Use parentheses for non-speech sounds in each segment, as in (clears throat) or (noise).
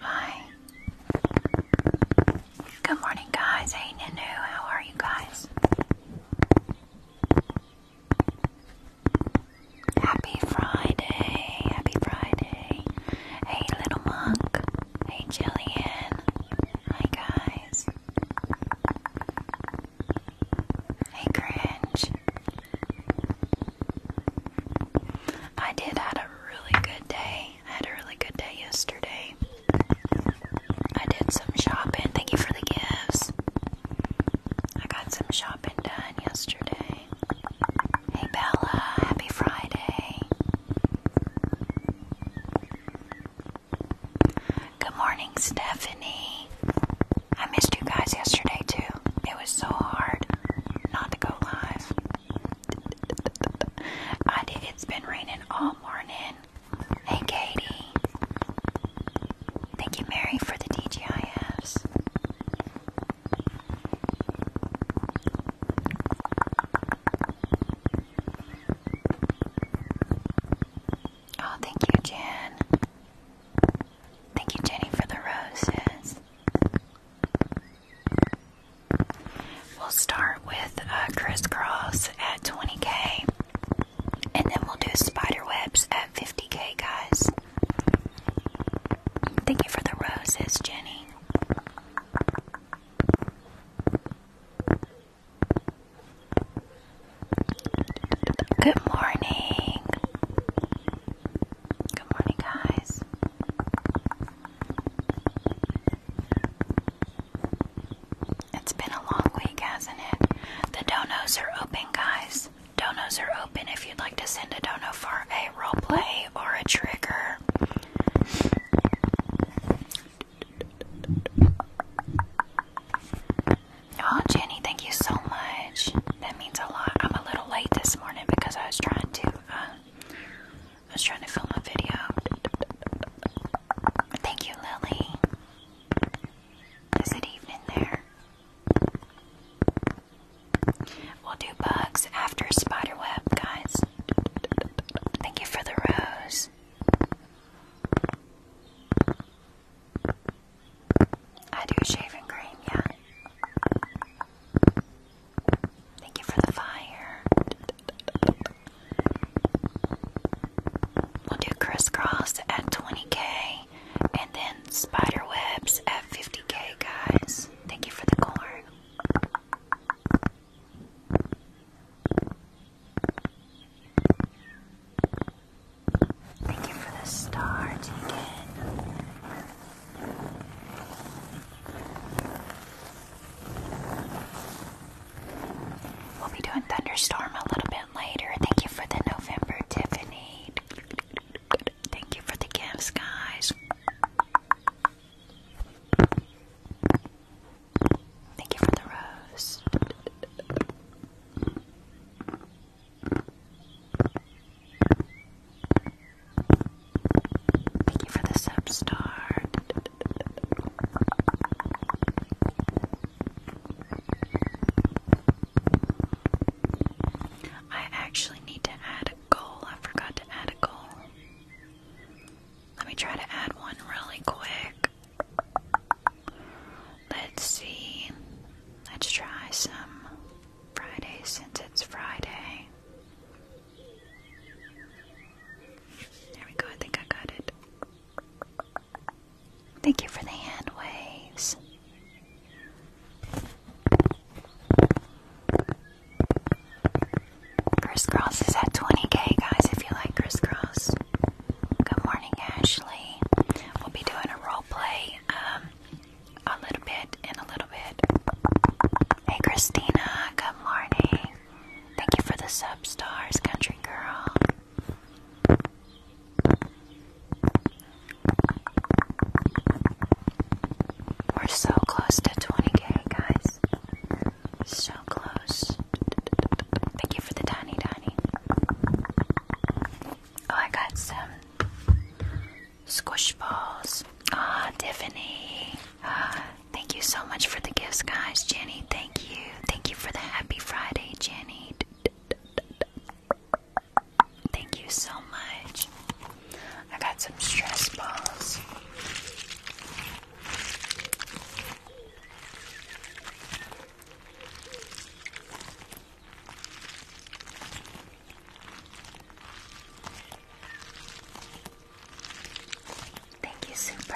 Hi. Good morning, guys. Hey, Nunu. How are you guys? Happy Friday. Happy Friday. Hey, little monk. Hey, Jillian. Hi, guys. Hey, cringe. I did had a really good day. I had a really good day yesterday. I did some shopping. Thank you for the gifts. I got some shopping done yesterday. Hey, Bella. Happy Friday. Good morning, Stephanie. I missed you guys yesterday too. It was so hard not to go live. (laughs) I did. It's been raining all morning. Hey, Katie. Thank you, Mary, for the DGIFs. Oh, thank you, Jan. Thank you, Jenny, for the roses. We'll start with uh, crisscross at 20k, and then we'll do spiderwebs at 50k, guys. Thank you for the roses, Jenny. Good morning. Good morning, guys. It's been a long week, hasn't it? The donos are open, guys. Donos are open if you'd like to send a dono for a roleplay or a trigger. Oh, Jenny, thank you so much. That means a lot. I'm a little late this morning because I was trying to, uh, I was trying to film a video. Thank you, Lily. Is it evening there? We'll do bugs after spider web, guys. Thank you for the rose. I do shaving cream, yeah. Thank you for the fire. We'll do crisscross at 20k and then spider webs at 50k, guys. Thank you for the corn. Thank you for the start. We'll be doing Thunderstorm a little bit later. Thank you for the November, Tiffany. Thank you for the gifts, guys. Thank you for the rose. Thank you for the sub star. I actually need to add a goal. I forgot to add a goal. Let me try to add one really quick. Let's see. Let's try some Friday since it's Friday. There we go, I think I got it. Thank you for the hand waves. Crisscross is at 20k, guys, if you like crisscross. Good morning, Ashley. We'll be doing a role play um, a little bit and a little bit. Hey, Christina. Good morning. Thank you for the sub stars, Country Girl. We're so close to 20k, guys. So close. Thank you for the tiny, tiny. Oh, I got some squish balls. Ah, oh, Tiffany. Uh, thank you so much for the gifts, guys. Jenny, thank you. Thank you for the happy Friday, Jenny. Thank you so much. I got some stress balls. Thank you, Super.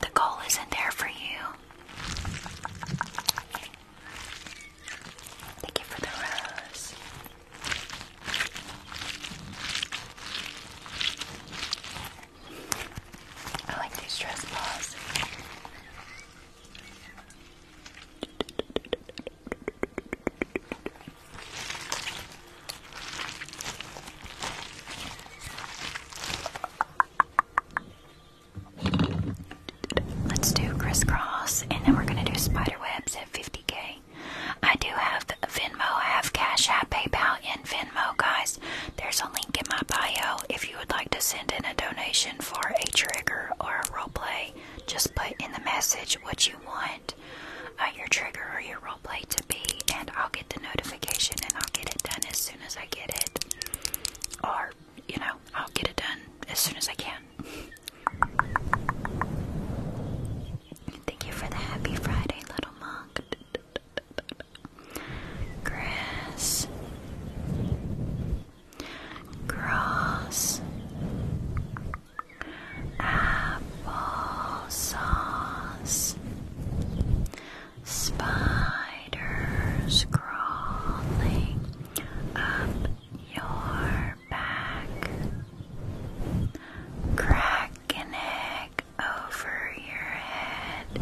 The goal isn't there for you. Thank you for the rose. I like these dress balls. Let's do crisscross, and then we're gonna do spider webs at 50k. I do have Venmo, I have Cash App, PayPal, and Venmo, guys. There's a link in my bio if you would like to send in a donation for a trigger or a roleplay. Just put in the message what you want uh, your trigger or your roleplay to be, and I'll get the notification and I'll get it done as soon as I get it. Or, you know, I'll get it done as soon as I can. Thank you for the happy Friday, little monk. Grass. Cross. Apple Spiders crawling up your back, crack an egg over your head.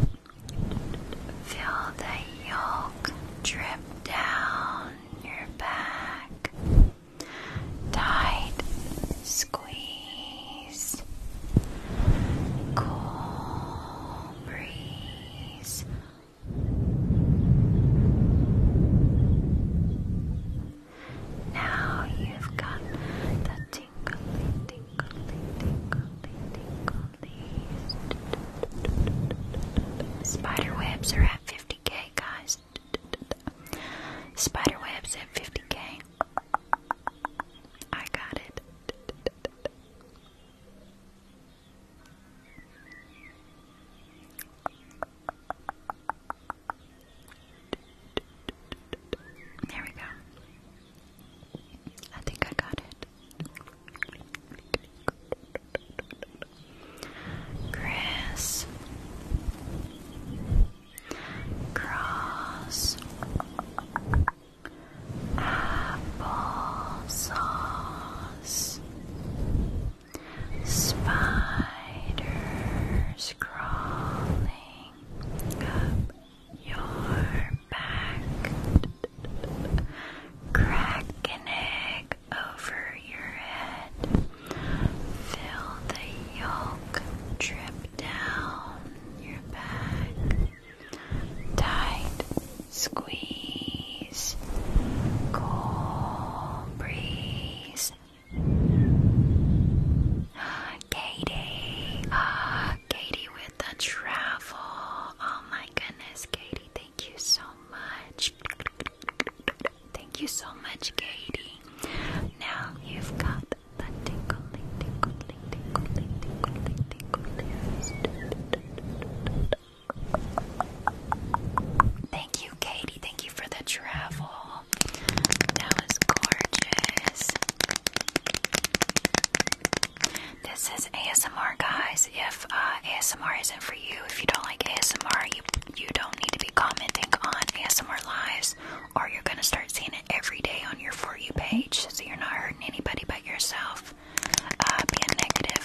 Feel the yolk drip down your back. Tight squeeze. Cool breeze now you've got the tingly, tingly, tingly, tingly. Spider webs are at 50k, guys. Spider webs at 50k. I got it. There we go. I think I got it. Chris Cross Apple Spiders crawling up your back, crack an egg over your head, feel the yolk drip down your back, tight squeeze, cool breeze. Katie, ah, Katie with the travel. Oh my goodness, Katie, thank you so much. Thank you so much, Katie. Now you've got the tickling, tickling, Katie. Thank you for the travel. That was gorgeous. This is ASMR, guys. If uh, ASMR isn't for you, if you don't like ASMR, you you don't need to be commenting on ASMR lives, or you're gonna start seeing it every day on your for you page, so you're not hurting anybody but yourself. Uh, being negative.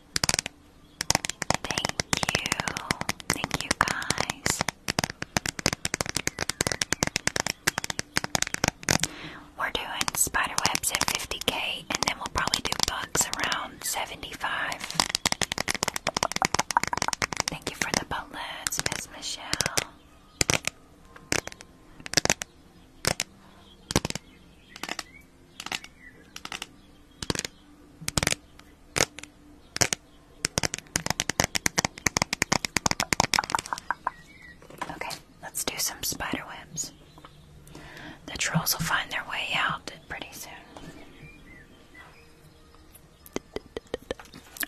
Thank you. Thank you guys. We're doing spider webs at 50k and then we'll probably do bugs around 75. Thank you for the bullets, Miss Michelle. Okay, let's do some spider The trolls will find their way out pretty soon.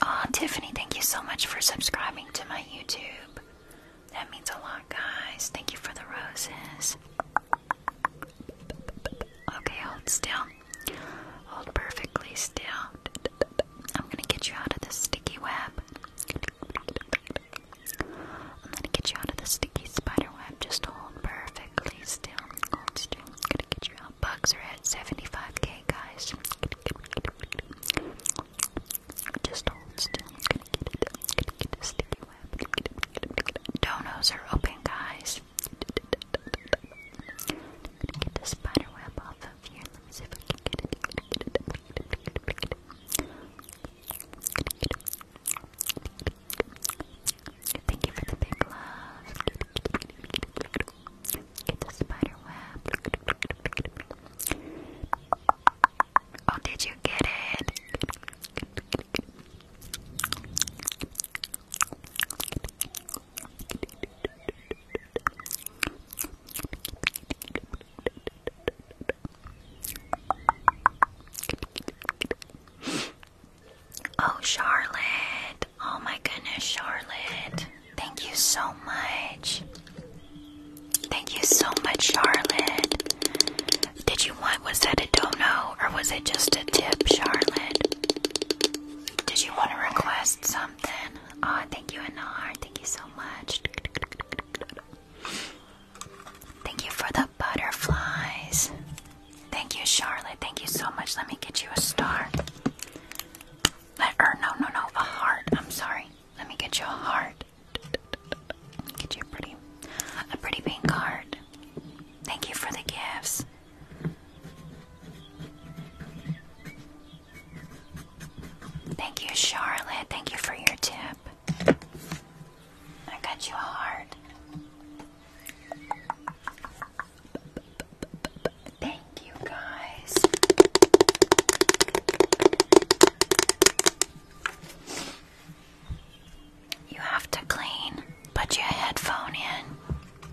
oh, Tiffany, thank you so much for subscribing to my YouTube. That means a lot, guys. Thank you for the roses. Okay, hold still. Hold perfectly still. I'm gonna get you out of this sticky web. I'm gonna get you out of the sticky spider web. Just hold perfectly still. Hold still. I'm gonna get you out. Bugs are at 75k, guys. Just hold still. I'm gonna get sticky web. Donos are open, guys. I'm get the spider web off of here. see if I can get it. Thank you for the love. Get the spider Oh, did you get it? Oh, Charlotte. Oh, my goodness, Charlotte. Thank you so much. Thank you so much, Charlotte. Did you want, was that a dono or was it just a tip, Charlotte? Did you want to request something? Oh, thank you, Anar. Thank you so much. Thank you for the butterflies. Thank you, Charlotte. Thank you so much. Let me get you a star. Let, or no, no, no, a heart. I'm sorry. Let me get you a heart. Get you a pretty, a pretty pink heart. Thank you for the gifts. Thank you, Charlotte. Thank you for your tip. I got you a heart. Thank you, guys. You have to clean, put your headphone in.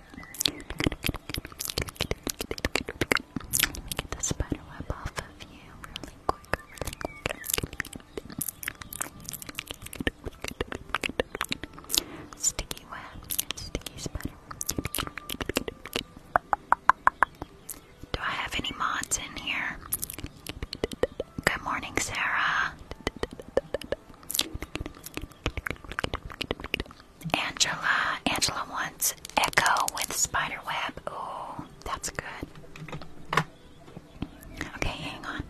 Get the spider web off of you really quick, Sticky web sticky spider. Do I have any mods in here? Good morning, Sarah. Angela. Angela wants Echo with Spiderweb. Oh, that's good. Okay, hang on.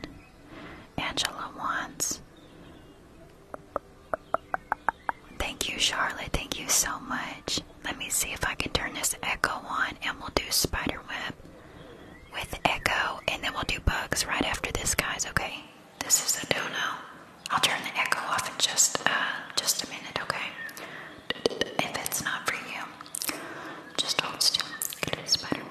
Angela wants. Thank you, Charlotte. Thank you so much. Let me see if I can turn this echo on and we'll do spider web with echo and then we'll do bugs right after this, guys, okay? This is a dono. I'll turn the echo off in just uh, just a minute, okay? If it's not for you, just hold still. Get a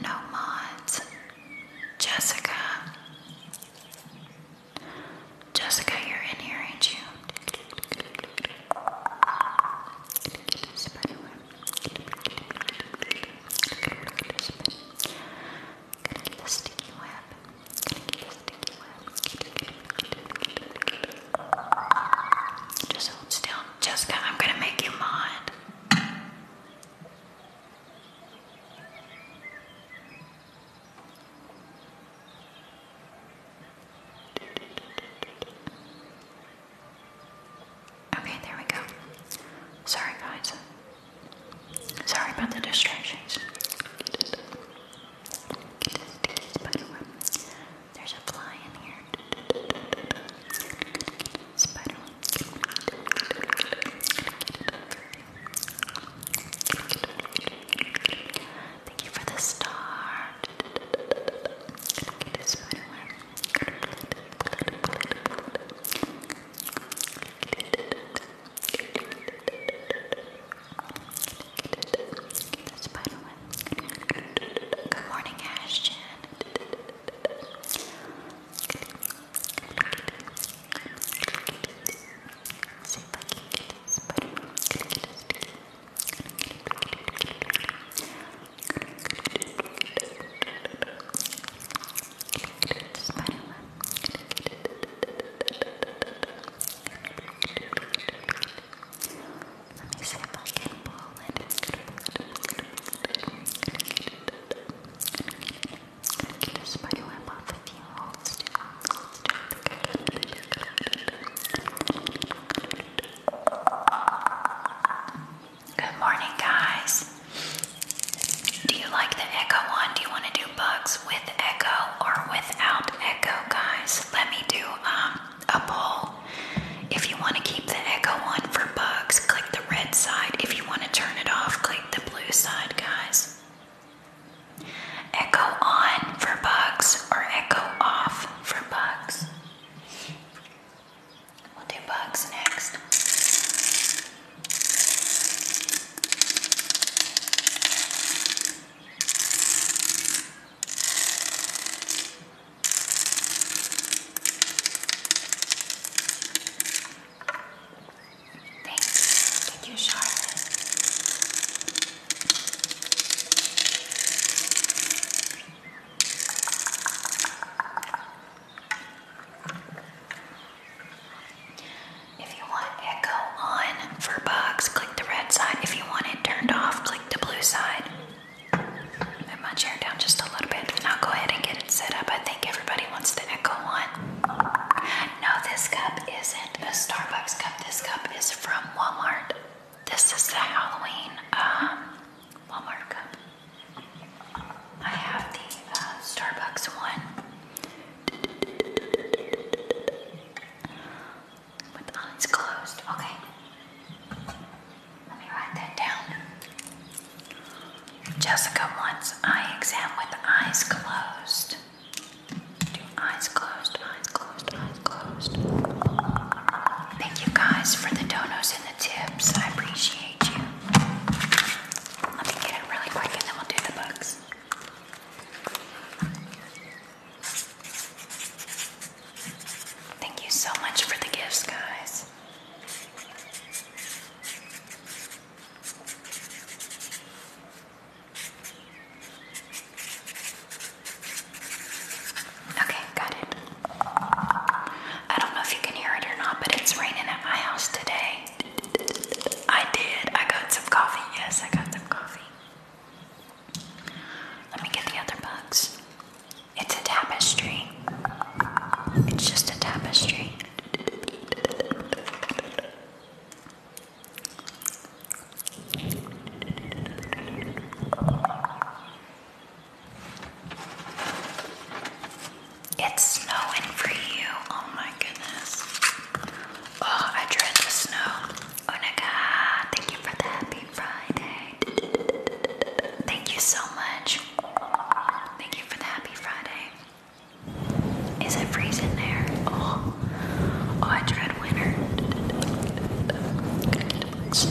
No mods. Jessica. Jessica, you're in here, ain't you? Just hold still. Jessica, I'm gonna make you mod. Okay, there we go. Sorry, guys. Sorry about the distractions. There's a fly in here. Thank you for the star. Good morning, Ashton. Good See if I can get this spider. Gonna get this sticky. Let me see if I can pull it. Good morning, guys. Do you like the Echo one? Do you want to do bugs with Echo or without Echo, guys? Let me do um, a poll. If you want to keep the Echo one for bugs, click the red side. If you want to turn it off, click the blue side, guys. Echo on for bugs or echo off for bugs. We'll do bugs next. Thanks. Thank you, Charlotte. If you want echo on for bugs, click the red side. If you want it turned off, click the blue side. Move my chair down just a little bit I'll go ahead and get it set up. I think everybody wants the echo on. No, this cup isn't a Starbucks cup. This cup is from Walmart. This is the Halloween um, Walmart cup. I have the uh, Starbucks one with eyes closed. Okay. Let me write that down. Jessica wants eye exam with eyes closed eyes closed, eyes closed, eyes closed. Thank you guys for the donuts and the tips. I appreciate you. Let me get it really quick and then we'll do the books. Thank you so much for the gifts, guys. Okay, got it. I don't know if you can hear it or not, but it's raining at my house today. I did. I got some coffee. Yes, I got some coffee. Let me get the other bugs. It's a tapestry. It's just a tapestry. It's snowing for you. Oh my goodness. Oh, I dread the snow. Oh Thank you for the happy Friday. Thank you so much. Thank you for the happy Friday. Is it freezing there? Oh, oh, I dread winter. Gotta get books.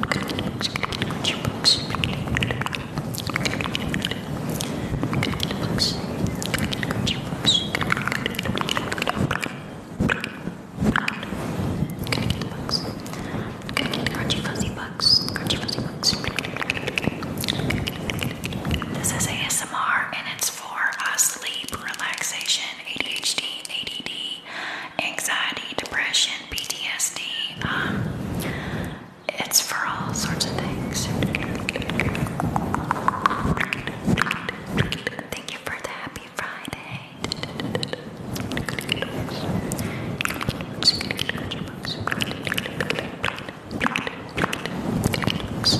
Gotta get books. Gotta get your books. Gotta get books. Gotta get your books. Gotta get books. Gotta get crunchy fuzzy bugs. Crunchy fuzzy bugs. This is ASMR and it's for uh, sleep, relaxation, ADHD, ADD, anxiety, depression, PTSD. Um, it's for all sorts of things. Thank you for the happy Friday books.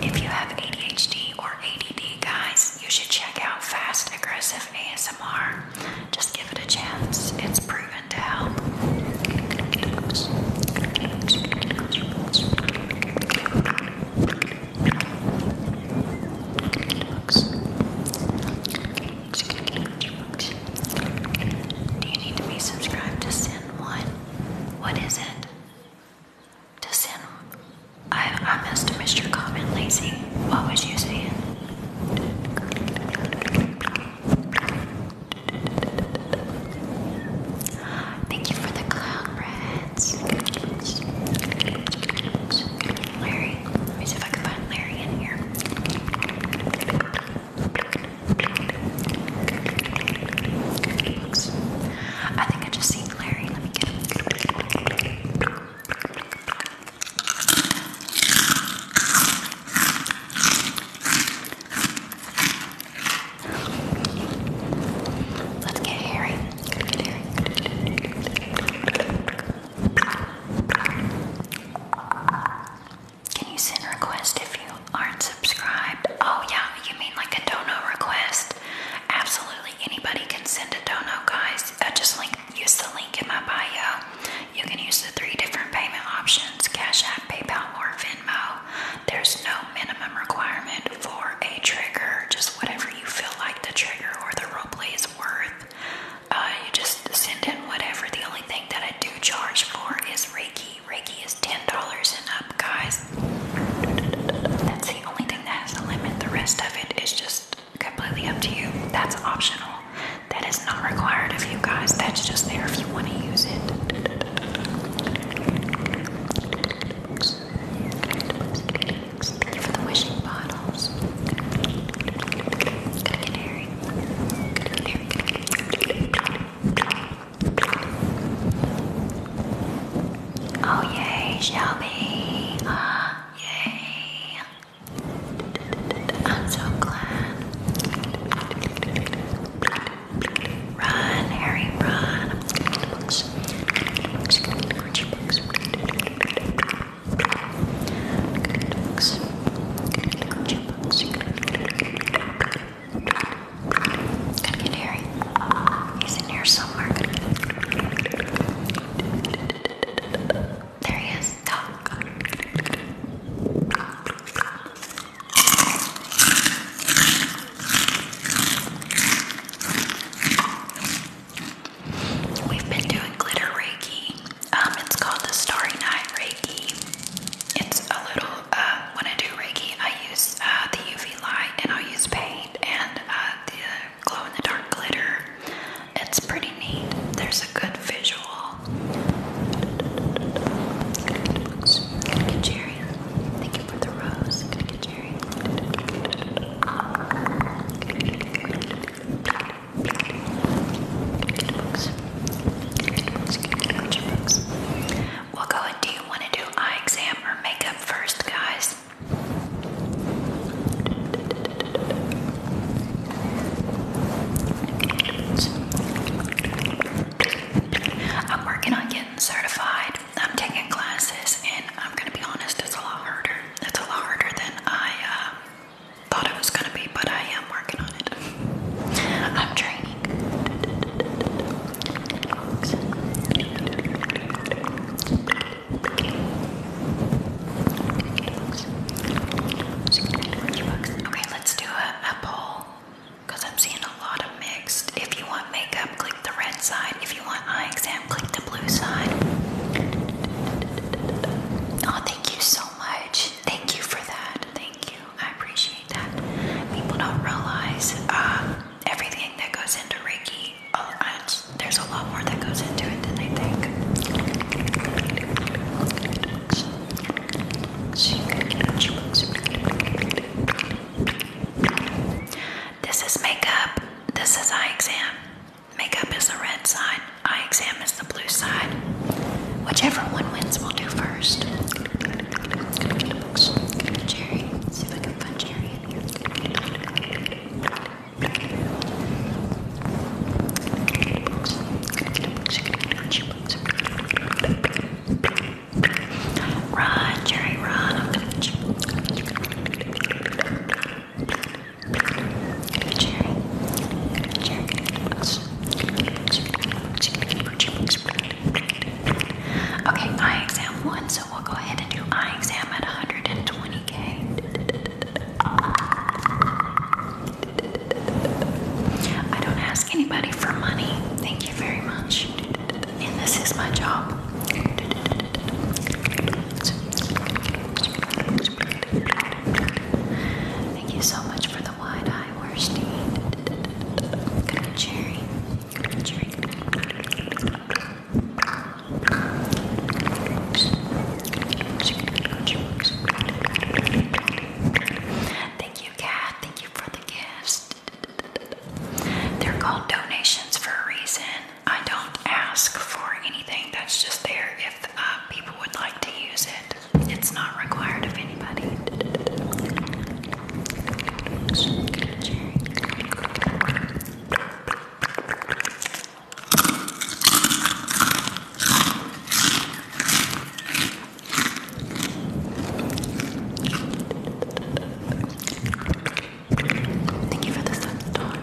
If you have ADHD or ADD, guys, you should check out Fast Aggressive ASMR. Just give it a chance, it's proven to help. Do you need to be subscribed to send One? What is it? To send? I I must have missed your comment, Lazy. What was you saying? Thank you for the cloud rats. Larry. Let me see if I can find Larry in here. I think I just seen Larry. Let me get him. Let's get hairy. Can you send a request if you aren't subscribed? Oh yeah, you mean like a dono request? Absolutely, anybody can send a dono, guys. I uh, just link use the link in my bio. You can use the three different payment options: Cash App, PayPal, or Venmo. There's no minimum requirement for a trigger, just whatever you feel like the trigger or the roleplay is worth. Uh, you just send in whatever. The only thing that I do charge for is Reiki. Reiki is ten dollars and up, guys. That's the only thing that has a limit. The rest of it is just completely up to you. That's optional. That is not required of you guys. That's just there if you want to use it for the wishing bottles. Oh yeah, Shelby! Ah, I'm so glad. Run, Harry, run. I'm just gonna get the books. Gonna get the books. Gonna get the crunchy books. Gonna get the books. Gonna get the crunchy books. Gonna get Harry. He's in here somewhere. Gonna get There he is. Oh, We've been doing glitter reiki. Um, it's called the Starry Night Reiki. It's a little, uh, when I do reiki, I use uh, the UV light and i use paint and uh, the glow in the dark glitter. It's pretty neat. There's a good visual. Gonna get books. Thank you for the rose scary. we do you want to do eye exam or makeup first, guys? I'm working on getting certified. I'm taking classes, and I'm gonna be honest, it's a lot harder. It's a lot harder than I uh, thought it was gonna be, but I am working on it. I'm training. Okay, let's do a, poll because I'm seeing a lot of mixed. If you want makeup, click the red side. If you want eye exam, click the blue side. Oh, thank you so much. Thank you for that. Thank you. I appreciate that. People don't realize um, everything that goes into Reiki. Oh, there's a lot more that goes into it than they think. This is makeup. This is eye exam. Makeup is the red side, eye exam is the blue side. Whichever one wins, we'll do first. Jerry, see if I can find Jerry in here. Run, Jerry, run. I'm gonna get you. Okay, eye exam one, so we'll go ahead and do eye exam at 120k. I don't ask anybody for money. Thank you very much and this is my job. Thank you so much for the wide eye, Worsty. going cherry. Thank you, Kat. Thank you for the gifts. They're called donations for a reason. I don't ask for anything. That's just there if uh, people would like to use it. It's not required of anybody. Thank you for the sunstone.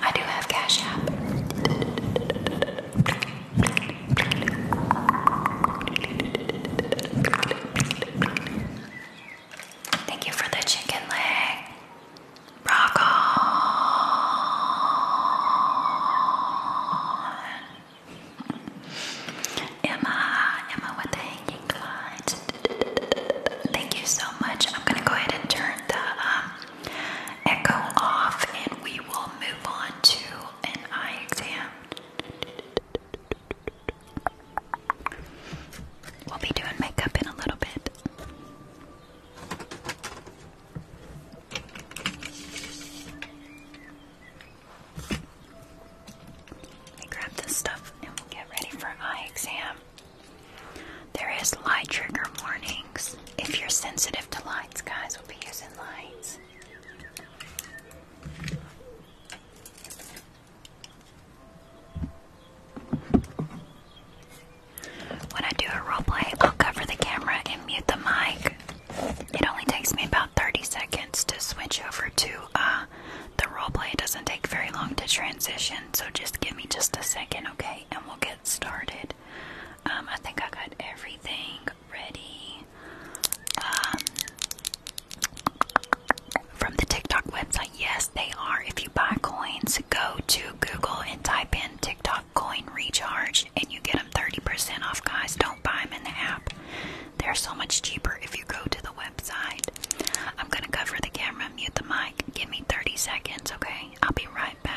I do have Cash App. Thank you for the chicken leg. Rock on. Emma, Emma with the Thank you so much. I'm gonna go ahead and turn the um, echo off, and we will move on to an eye exam. We'll be doing makeup in a little bit. Let me grab this stuff and we'll get ready for eye exam. There is light trigger warnings. If you're sensitive to lights, guys, we'll be using lights. When I do a roleplay, I'll cover the camera and mute the mic. It only takes me about 30 seconds to switch over to a. Uh, the roleplay doesn't take very long to transition, so just give me just a second, okay? And we'll get started. Um, I think I got everything ready. Um, from the TikTok website, yes, they are. If you buy coins, go to Google and type in TikTok coin recharge, and you get them 30% off, guys. Don't buy them in the app. They're so much cheaper if you go to the website. I'm gonna cover the camera, mute the mic. Give me 30 seconds, okay? I'll be right back.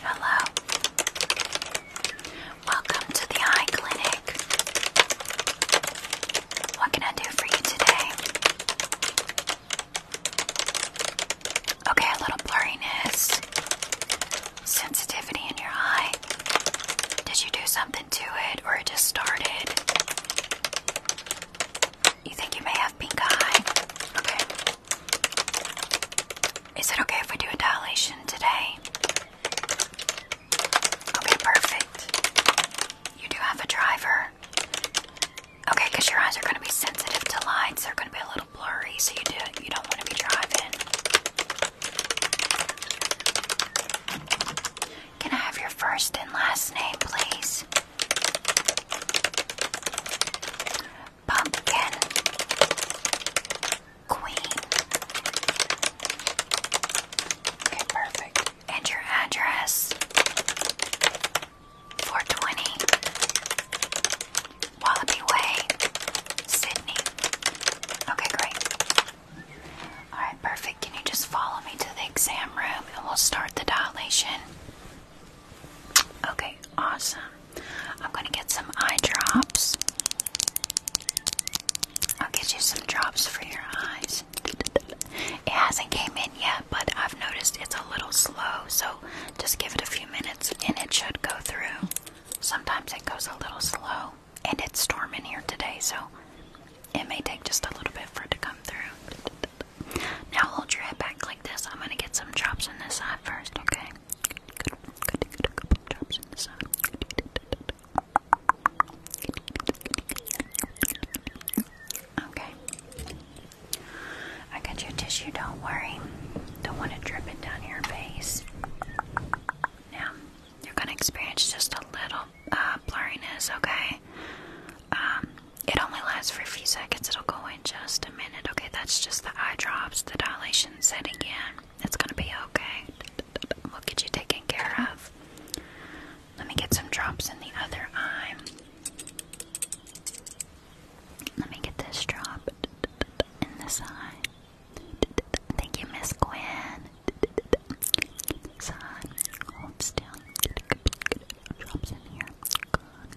Hello. Welcome to the eye clinic. What can I do for you today? Okay, a little blurriness. Sensitivity in your eye. Did you do something to it or it just started? You think you may have pink eye? Okay. Is it okay if we do a dilation today? Okay, perfect. You do have a driver. Okay, because your eyes are going to be sensitive to lights. They're going to be a little blurry, so you do you don't want to be driving. Can I have your first and last name, please? Pumpkin Queen. Okay, perfect. And your address? 420 Wallaby Way, Sydney. Okay, great. Alright, perfect. Can you just follow me to the exam room and we'll start the dilation? Okay, awesome. I'm gonna get some eye drops. I'll get you some drops for your eyes. It hasn't came in yet, but I've noticed it's a little slow, so just give it a few minutes and it should go through. Sometimes it goes a little slow, and it's storming here today, so it may take just a little bit for it to come through. Now hold your head back like this. I'm gonna get some drops on this side first, okay? Okay. I got your tissue, don't worry. Don't want to drip it down your face. Now, you're going to experience just a little uh, blurriness, okay? Um, it only lasts for a few seconds. It'll go in just a minute, okay? That's just the eye drops, the dilation set again. It's gonna be okay. We'll get you taken care of. Let me get some drops in the other eye. Let me get this drop in this eye. Thank you, Miss Gwen. Son, hold still. Drops in here. Good.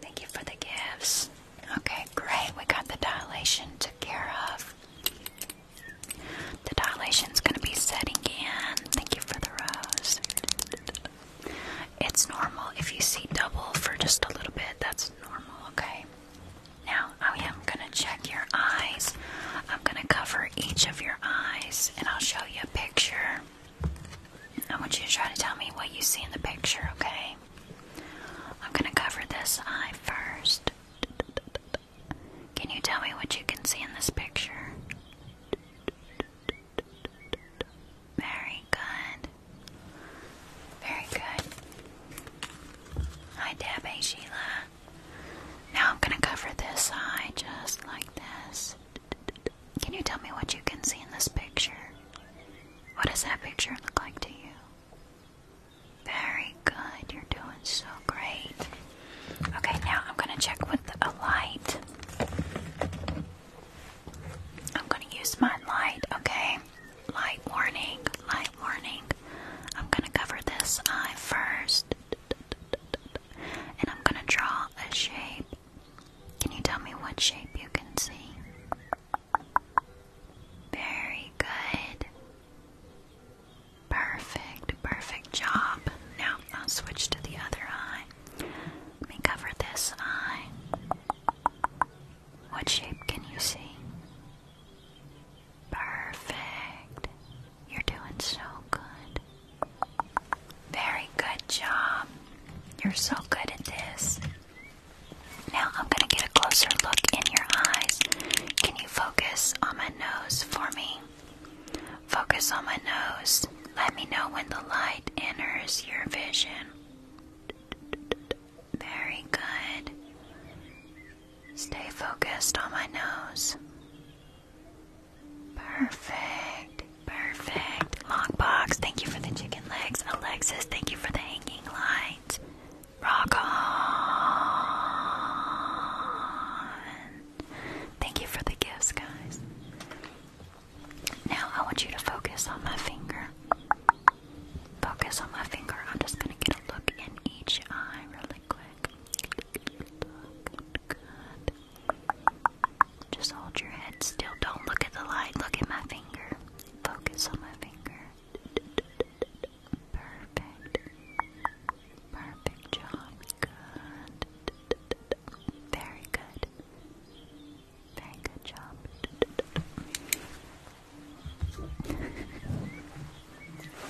Thank you for the gifts. Okay, great. We got the dilation took care of. The dilation is going to be setting in. Thank you for the rose. It's normal if you see double for just a little bit. That's normal, okay? Now, I am going to check your eyes. I'm going to cover each of your eyes and I'll show you a picture. I want you to try to tell me what you see in the picture, okay? I'm gonna cover this eye first. Can you tell me what you can see in this picture? Very good. Very good. Hi, Debbie, Sheila. Now I'm gonna cover this eye just like this. Can you tell me what you can see in this picture? What does that picture look like to you? Very good. You're doing so great. Okay, now I'm going to check with a light. I'm going to use my light, okay? Light warning, light warning. I'm going to cover this eye first. And I'm going to draw a shape. Can you tell me what shape you can see? Very good. Perfect, perfect job. Now I'll switch to the other eye. Let me cover this eye. What shape can you see? Perfect. You're doing so good. Very good job. You're so good at this. Now I'm going to get a closer look in your eyes. Can you focus on my nose for me? Focus on my nose. Let me know when the light enters your vision. Very good. Stay focused on my nose. Perfect. Perfect. Long box, thank you for the chicken legs. Alexis, thank you for the hanging light. Rock on. Thank you for the gifts, guys. Now I want you to focus on my finger. Focus on my finger. I'm just going to get a look in each eye really quick. Just hold your head still. Don't look at the light. Look at my finger. Focus on my finger. Perfect. Perfect job. Good. Very good. Very good job.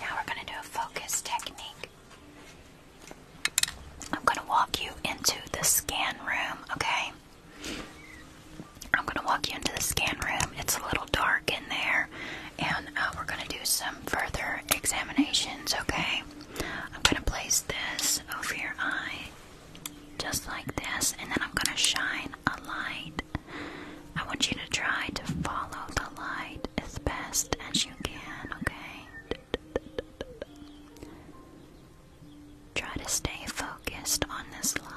now we're going to do a focus technique. I'm going to walk you into the scan room, okay? I'm gonna walk you into the scan room. It's a little dark in there, and uh, we're gonna do some further examinations, okay? I'm gonna place this over your eye, just like this, and then I'm gonna shine a light. I want you to try to follow the light as best as you can, okay? Try to stay focused on this light.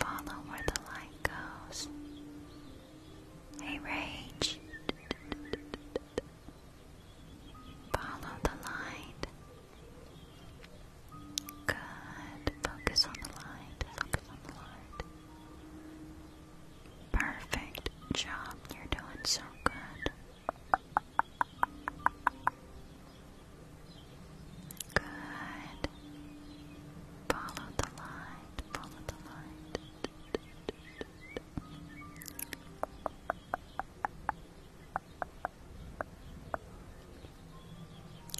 Follow where the light it Hey, Rage. Follow the light. Good. Focus on the light. Focus on the light. Perfect job. You're doing so good. Good. Follow the light. Follow the light.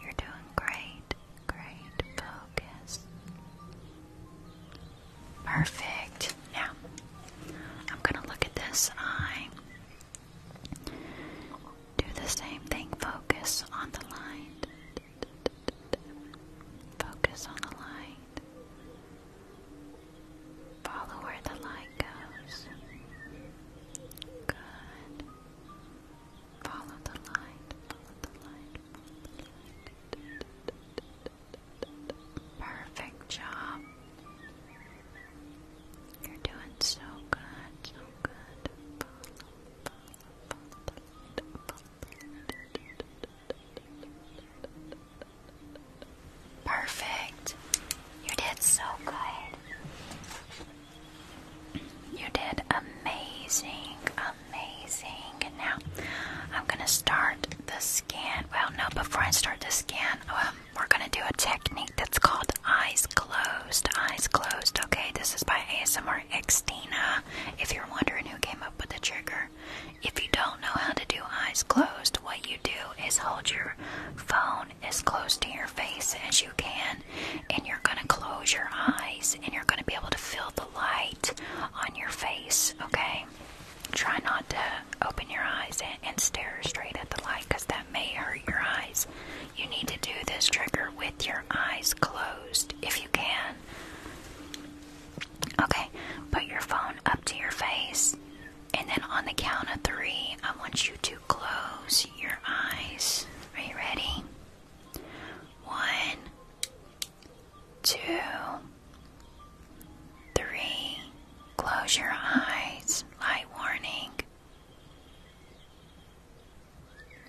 You're doing great. Great focus. Perfect. Now, I'm going to look at this eye. Do the same thing. Focus on the light. Focus on the line. Follow where the light goes. Good. Follow the light. Follow the light. Perfect job. You're doing so good. So good. Perfect. You did so good. You did amazing, amazing. now I'm going to start the scan. Well, no, before I start the scan, um, we're going to do a technique that's called eyes glow eyes closed. Okay, this is by ASMR Xtina. If you're wondering who came up with the trigger, if you don't know how to do eyes closed, what you do is hold your phone as close to your face as you can, and you're gonna close your eyes, and you're gonna be able to feel the light on your face. Okay, try not to open your eyes and stare straight at the light because that may hurt your eyes. You need to do this trigger with your eyes closed if you can. Okay, put your phone up to your face, and then on the count of three, I want you to close your eyes. Are you ready? One, two, three. Close your eyes. Light warning.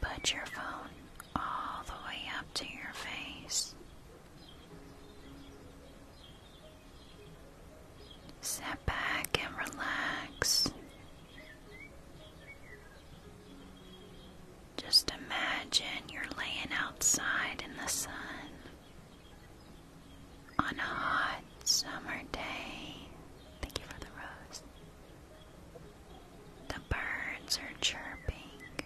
Put your phone all the way up to your face. Sit back and relax. Just imagine you're laying outside in the sun on a hot summer day. Thank you for the rose. The birds are chirping.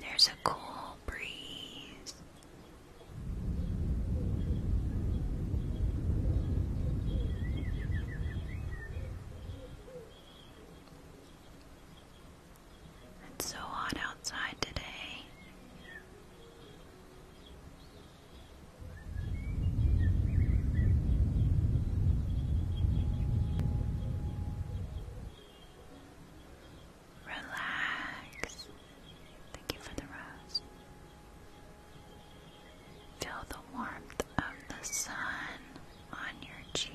There's a cool breeze. It's so hot outside today. Relax. Thank you for the rose. Feel the warmth of the sun on your cheeks.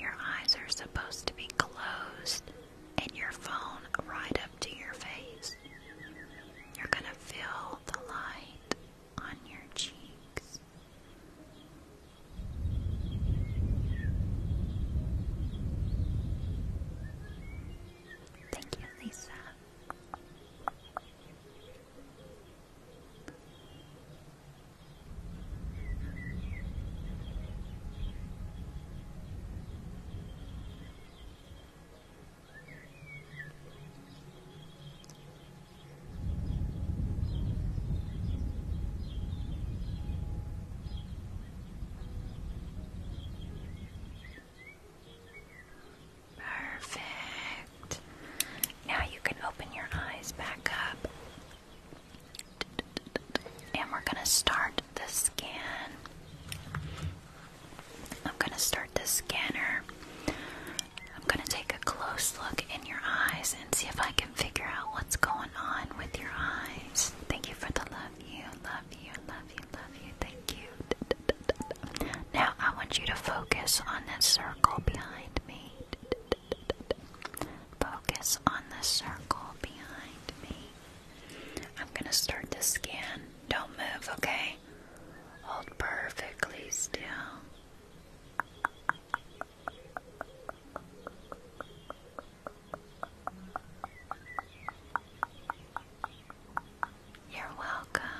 Your eyes are supposed to be closed and your phone right up to your face. You're going to feel the light on your cheeks. Thank you, Lisa. Perfect. Now you can open your eyes back up. And we're going to start the scan. I'm going to start the scanner. I'm going to take a close look in your eyes and see if I can figure out what's going on with your eyes. Thank you for the love you, love you, love you, love you. Thank you. Now I want you to focus on this circle behind me. Focus on the circle behind me. I'm going to start the scan. Don't move, okay? Hold perfectly still. You're welcome.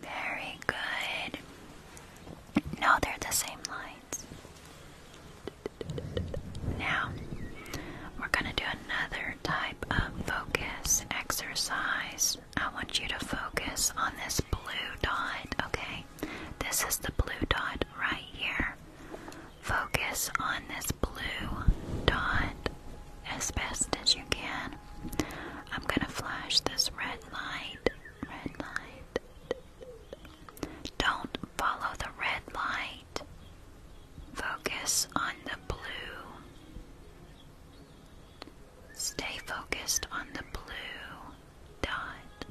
Very good. No, they're the same lines. Now, we're going to do another type of focus exercise. I want you to focus on this blue dot, okay? this is the blue dot right here. Focus on this blue dot as best as you can. I'm going to flash this red light. Red light. Don't follow the red light. Focus on the blue. Stay focused on the blue dot.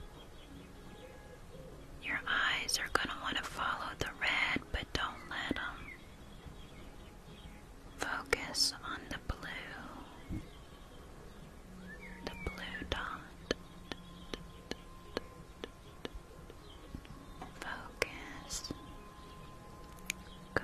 Your eyes are going to want to follow the red, but don't let them. Focus on the blue. The blue dot. Focus. Good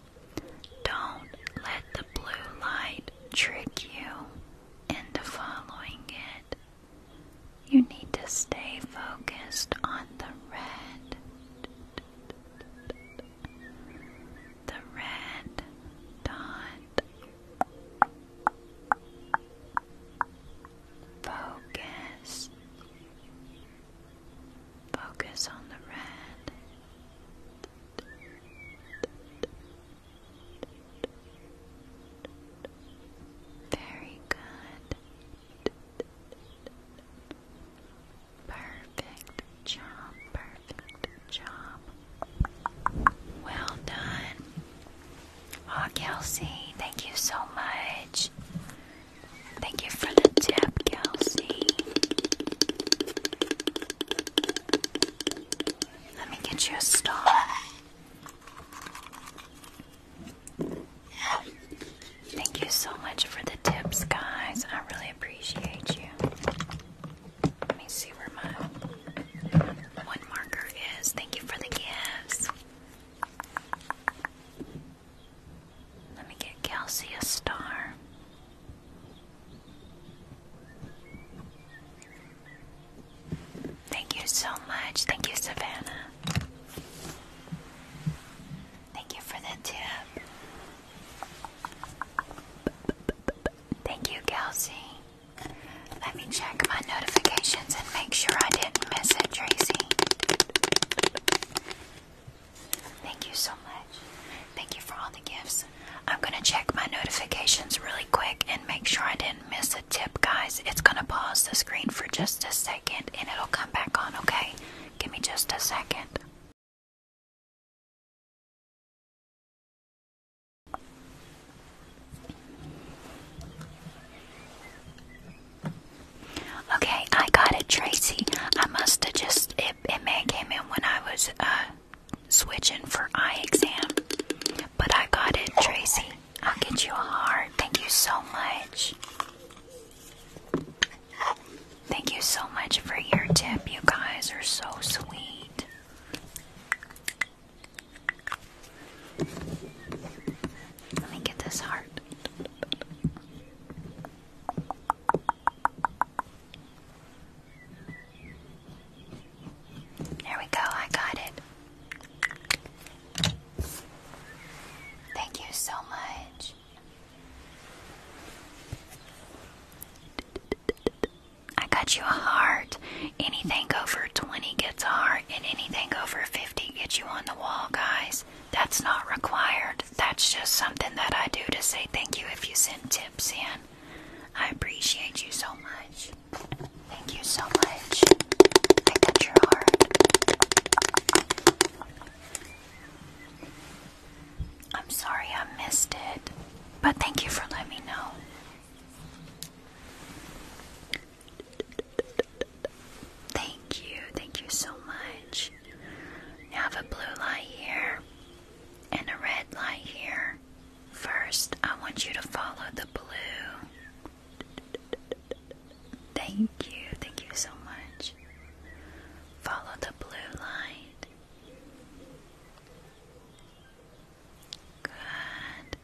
don't let the blue light trick you into following it. You need to stay focused on the red. The red dot. Focus. Focus on the red very good. Perfect job, perfect job. Well done. Aw, oh, Kelsey, thank you so much. Thank you for the tip, Kelsey. Let me get you a star. Thank you so much for the tips, guys. I really appreciate you. Let me see where my one marker is. Thank you for the gifts. Let me get Kelsey a star. Thank you so much. Thank you, Savannah. Thank you for the tip. Thank you, Kelsey. Let me check my notifications and make sure I didn't miss it, Tracy. Thank you so much. Thank you for all the gifts. I'm going to check my notifications really quick and make sure I didn't miss a tip, guys. It's going to pause the screen for just a second and it'll come back on, okay? Give me just a second. Okay, I got it, Tracy. I must have just it, it came in when I was uh, switching for eye exam, but I got it, Tracy. I'll get you a heart. Thank you so much. Thank you so much for your tip. You guys are so sweet. Let me get this heart. There we go, I got it. Thank you so much. I got you a heart. Anything over 20 gets a heart, and anything over 50 gets you on the wall, guys. That's not required that's just something that I do to say thank you if you send tips in. I appreciate you so much. Thank you so much. I got your heart. I'm sorry I missed it, but thank you for letting me know. Thank you, thank you so much. You have a blue light here and a red light here. First, I want you to follow the blue. Thank you, thank you so much. Follow the blue light. Good.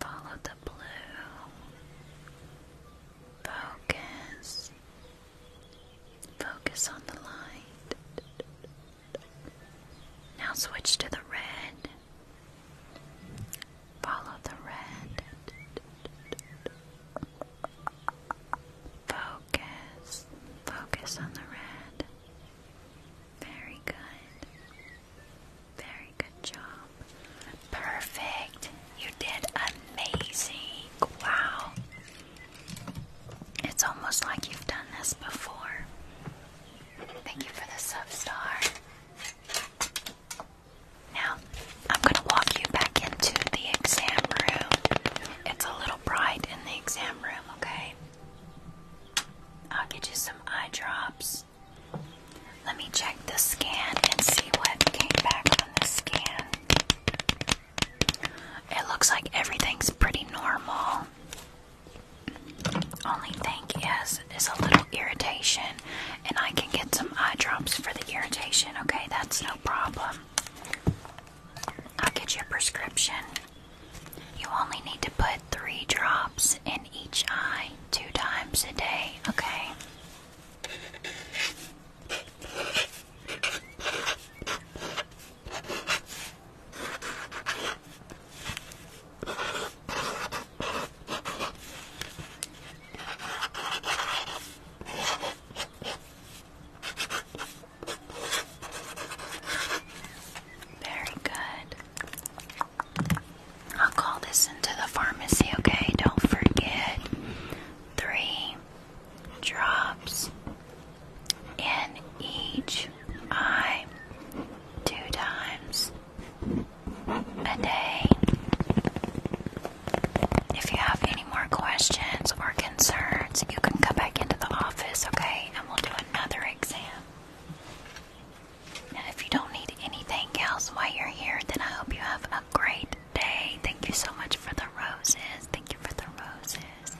Follow the blue. Focus. Focus on the light. Now switch to the red. Follow the red. Focus. Focus on the red. Very good. Very good job. Perfect. You did amazing. Wow. It's almost like you've done this before. Thank you for the sub Now, I'm going to walk you back into the exam room. It's a little bright in the exam room, okay? I'll get you some eye drops. Let me check the scan and see what came back on the scan. It looks like everything's pretty normal. Only thing is, is a little irritation, and I can get some eye drops for the irritation. Okay, that's no problem. I'll get you a prescription. You only need to put three drops in each eye two times a day, okay? Very good. I'll call this into the pharmacy, okay? Don't forget. Three drops in each eye two times a day. If you have any more questions or concerns, you can come back into the office, okay? And we'll do another exam. Now, if you don't need anything else while you're here, then I hope you have a great day. Thank you so much for the roses. Thank you for the roses.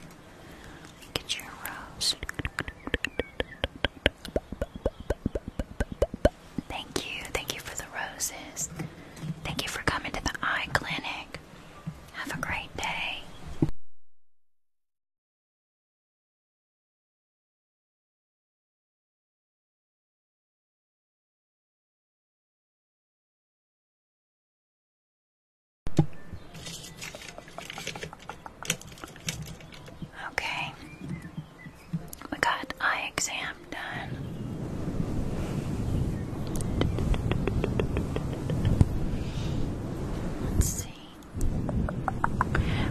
Get your rose. Thank you. Thank you for the roses. Thank you for coming to the eye clinic. Have a great day. Okay, we got eye exam done. Let's see.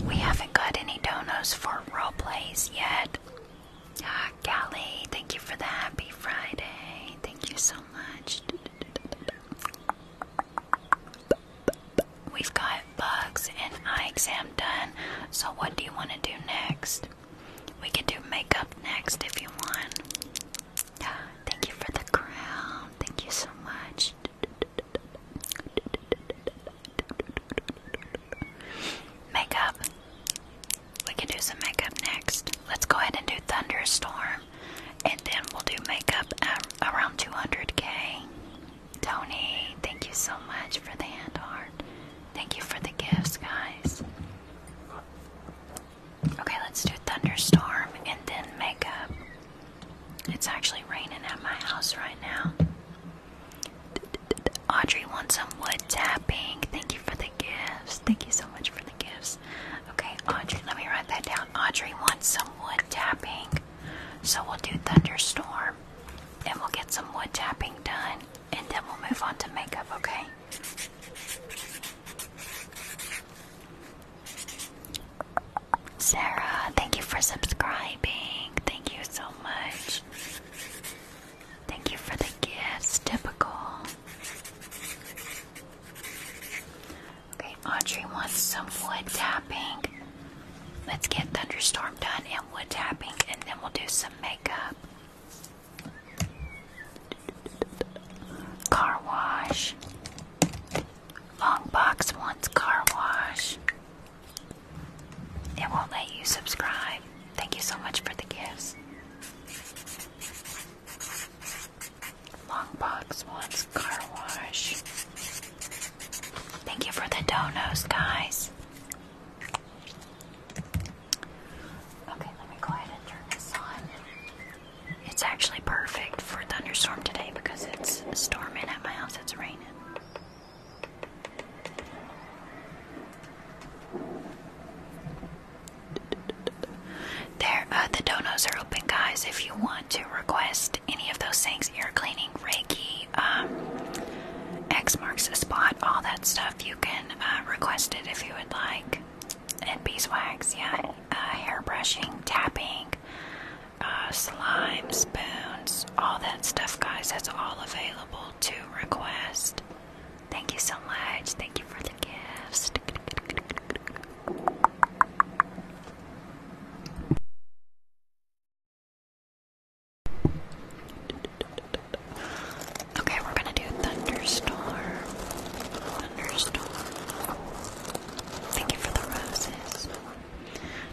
We haven't got any donos for role yet. Ah, thank you for the happy Friday. Thank you so We've got bugs and eye exam done. So, what do you want to do next? We can do makeup next if you want. (sighs) Thank you for the crown. Thank you so much. Makeup. We can do some makeup next. Let's go ahead and do Thunderstorm. And then we'll do makeup around 200k. Tony, thank you so much for the hand art. Thank you for the gifts, guys. Okay, let's do Thunderstorm and then makeup. It's actually raining at my house right now. Audrey wants some wood tapping. Thank you for the gifts. Thank you so much for the gifts. Okay, Audrey, let me write that down. Audrey wants some wood tapping. So we'll do thunderstorm and we'll get some wood tapping done and then we'll move on to makeup, okay? Sarah, thank you for subscribing. Thank you so much. Thank you for the gifts. Typical. Okay, Audrey wants some wood tapping. Let's get thunderstorm done and wood tapping, and then we'll do some makeup. Car wash. Long box wants car wash. It won't let you subscribe. Thank you so much for the gifts. Long box wants car wash. Thank you for the donos, guys. Okay, let me go ahead and turn this on. It's actually perfect for thunderstorm today because it's storming at my house. It's raining. There, uh, the donos are open, guys. If you want to request any of those things, ear cleaning, Reiki, um, X marks the spot, all that stuff, you can uh, request it if you would like. And beeswax, yeah, uh, hair brushing, tapping, slime, spoons, all that stuff, guys. That's all available to request. Thank you so much. Thank you for the gifts. Okay, we're gonna do thunderstorm. Thunderstorm. Thank you for the roses.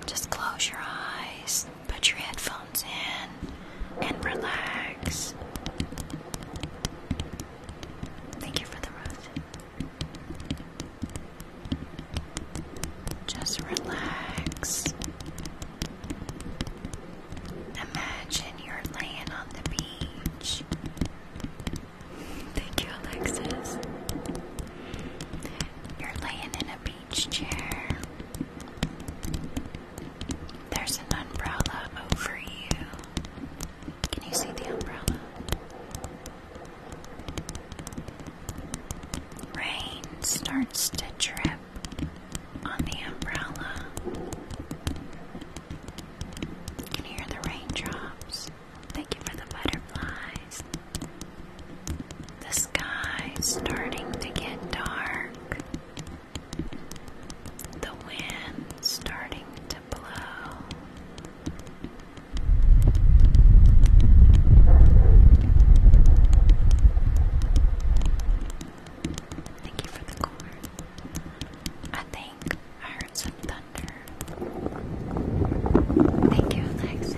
Just close your eyes, put your headphones in, and relax. Thank you for the rose. Just relax. Imagine you're laying on the beach. Thank you, Alexis. You're laying in a beach chair. There's an umbrella over you. Can you see the umbrella? Rain starts to drip on the umbrella. You can hear the raindrops. Thank you for the butterflies. The sky's starting to get dark. The wind's starting Thank you for the core. I think I heard some thunder. Thank you, Alexis.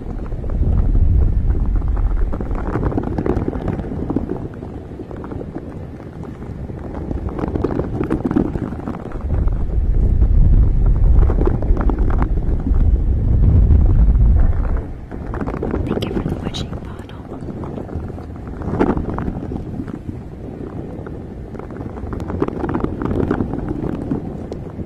Thank you for the wishing bottle. We'll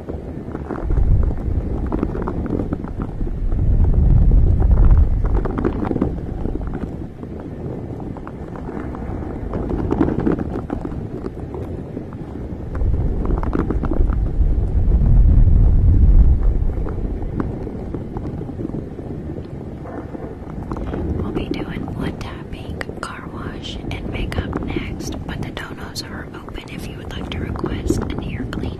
be doing wood tapping, car wash, and makeup next, but the donuts are if you would like to request an ear cleaning.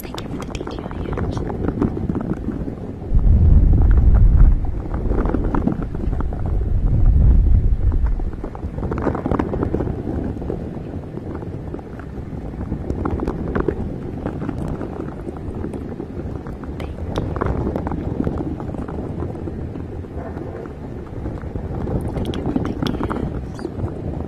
Thank you for the DJs. Thank you for the kiss.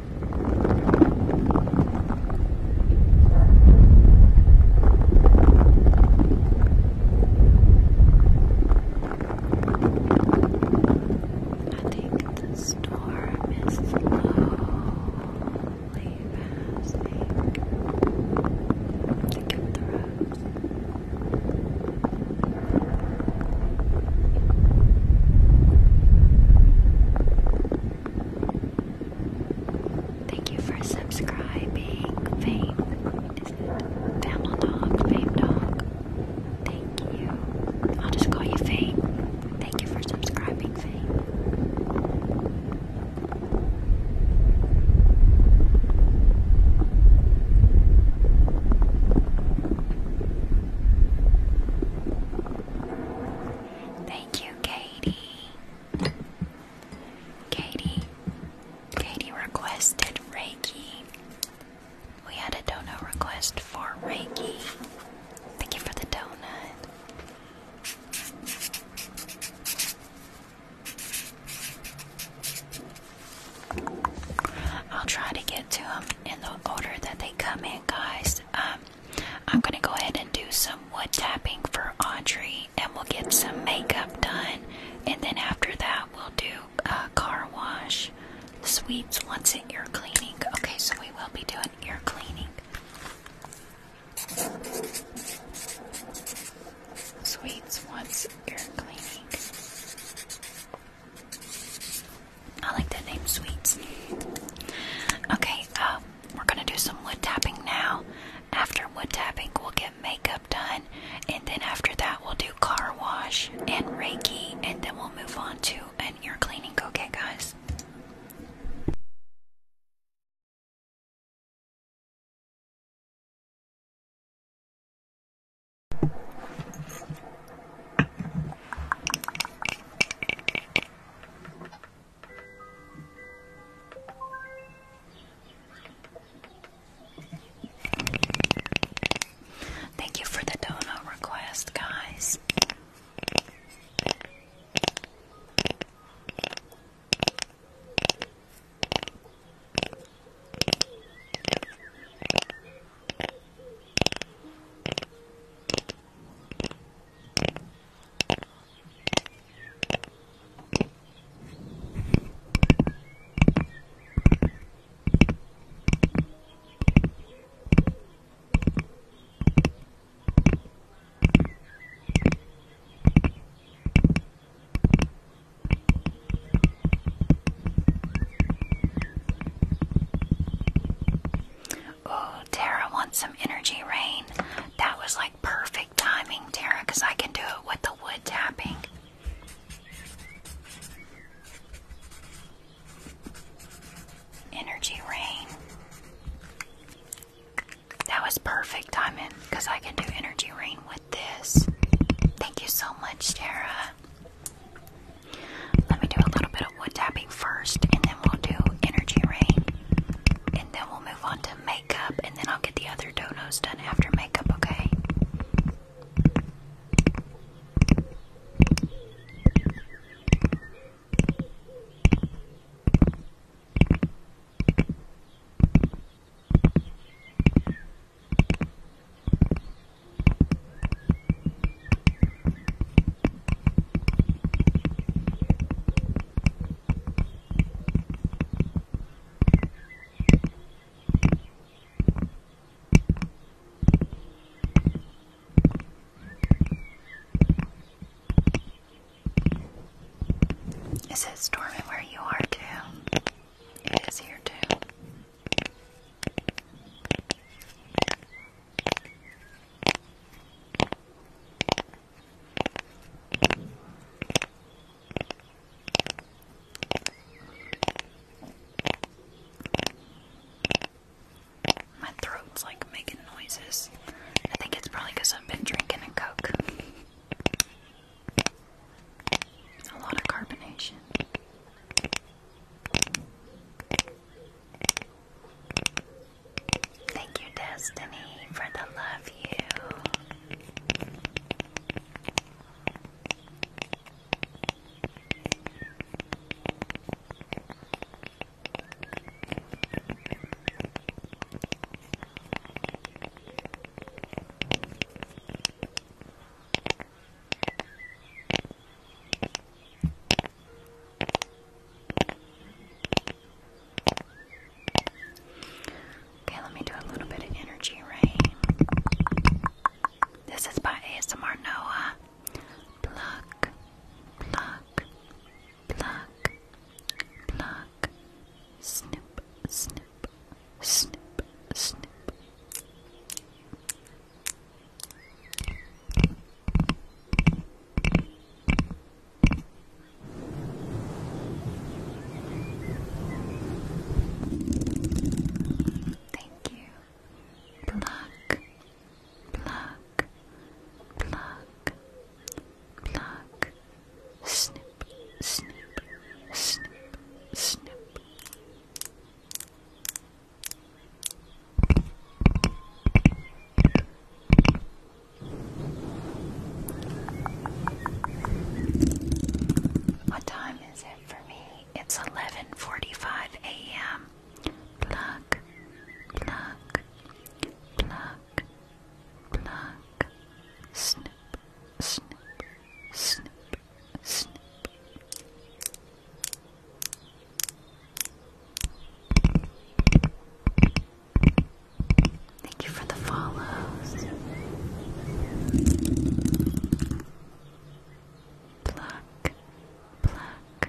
I think the storm is slowly passing. the roads. Thank you for subscribing. Fame. Family dog. Fame dog. Thank you. I'll just call you Fame. Thank you for subscribing, Fame. Thank you, Katie. Katie. Katie requested Reiki. We had a donut request for Reiki. Thank you for the donut. I'll try to get to them in the order that they come in, guys. Um, I'm going to go ahead and do some wood tapping for Audrey and we'll get some makeup done. And then after that, we'll do a car wash, sweeps, wants in ear cleaning. Okay, so we will be doing ear cleaning. Sweets wants ear cleaning. I like that name, Sweets. Okay, um, we're gonna do some wood tapping now. After wood tapping, we'll get makeup done, and then after that, we'll do car wash and Reiki, and then we'll move on to an ear cleaning. Okay, guys. Thank you for the donut request, guys. Oh, Tara wants some energy rain. That was like perfect timing, Tara, because I can do it with the wood tapping. Energy rain. That was perfect timing because I can do energy rain with this. Thank you so much, Tara. Let me do a little bit of wood tapping first, and then we'll do energy rain, and then we'll move on to makeup, and then I'll get the other donos done after makeup, okay? Is it storming where you are too? It is here too. My throat's like making noises. I think it's probably because I've been drinking a Coke. A lot of carbonation. Thank you, Destiny, for the love you. Okay, let me do a little bit of energy rain. This is by ASMR Noah. Pluck, pluck, pluck, pluck. Snip, snip, snip, snip. Thank you. Pluck, pluck, pluck, pluck. Snip, snip, snip, snip. What time is it for me? It's 11:45 a.m. Pluck, pluck, pluck, pluck. Snip, snip, snip, snip. Thank you for the follows. Pluck, pluck,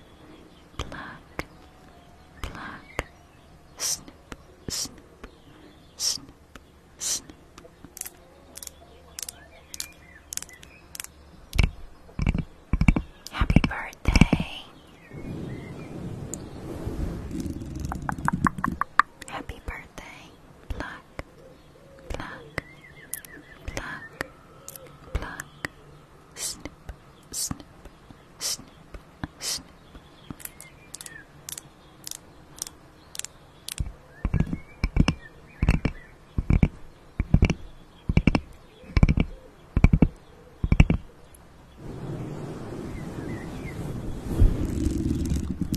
pluck, pluck. Snip, snip, snip, snip. Happy birthday. Happy birthday, pluck, pluck, pluck, pluck, snip, snip, snip, snip.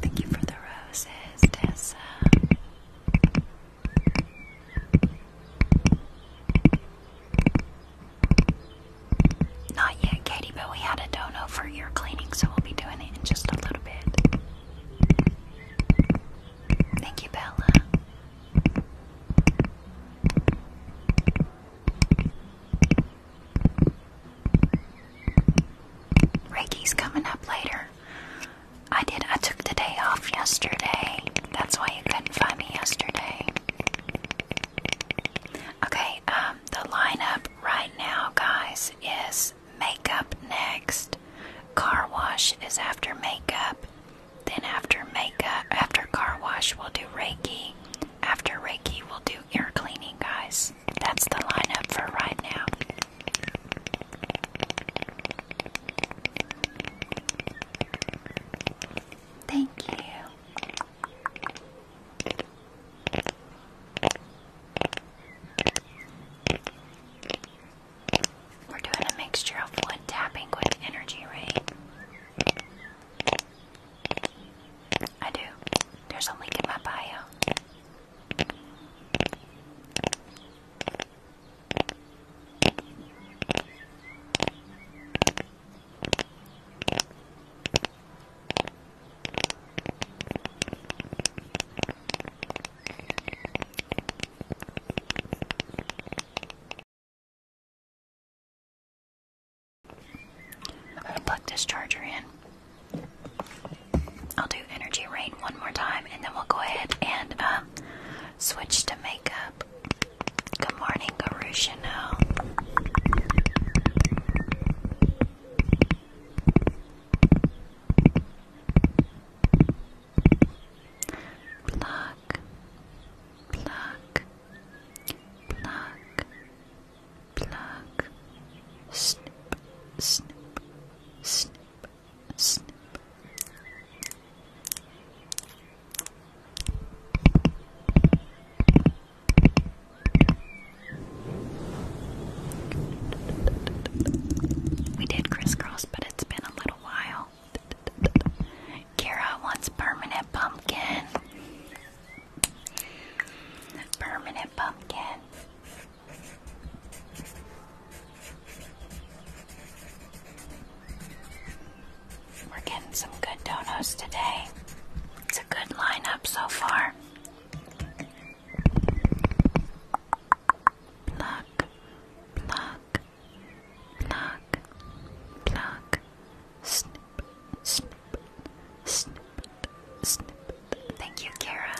Thank you for the roses, Tessa. Not yet, Katie, but we had a dono for ear cleaning, so we'll be doing it in just a little bit. Thank you, Bella. Reiki's coming up later. I did. I took the day off yesterday. That's why you couldn't find me yesterday. Okay. Um, the lineup right now, guys, is makeup next. Car wash is after makeup. Then after makeup, after car wash, we'll do Reiki. After Reiki, we'll do ear cleaning, guys. That's the lineup for right now. Thank you. We're doing a mixture of wood tapping with energy rain. I do. There's a link in my bio. I'm gonna plug this charger in. I'll do energy rain one more time, and then we'll go ahead and um, switch to makeup. Good morning, Garushino. Pluck, pluck, pluck, Plug. Snip, snip, snip, snip. We did crisscross, but it's been a little while. Kara wants permanent pumpkin. Permanent pumpkin. We're getting some good donuts today. It's a good lineup so far. Pluck, pluck, pluck, pluck, snip, snip. Thank you, Kara.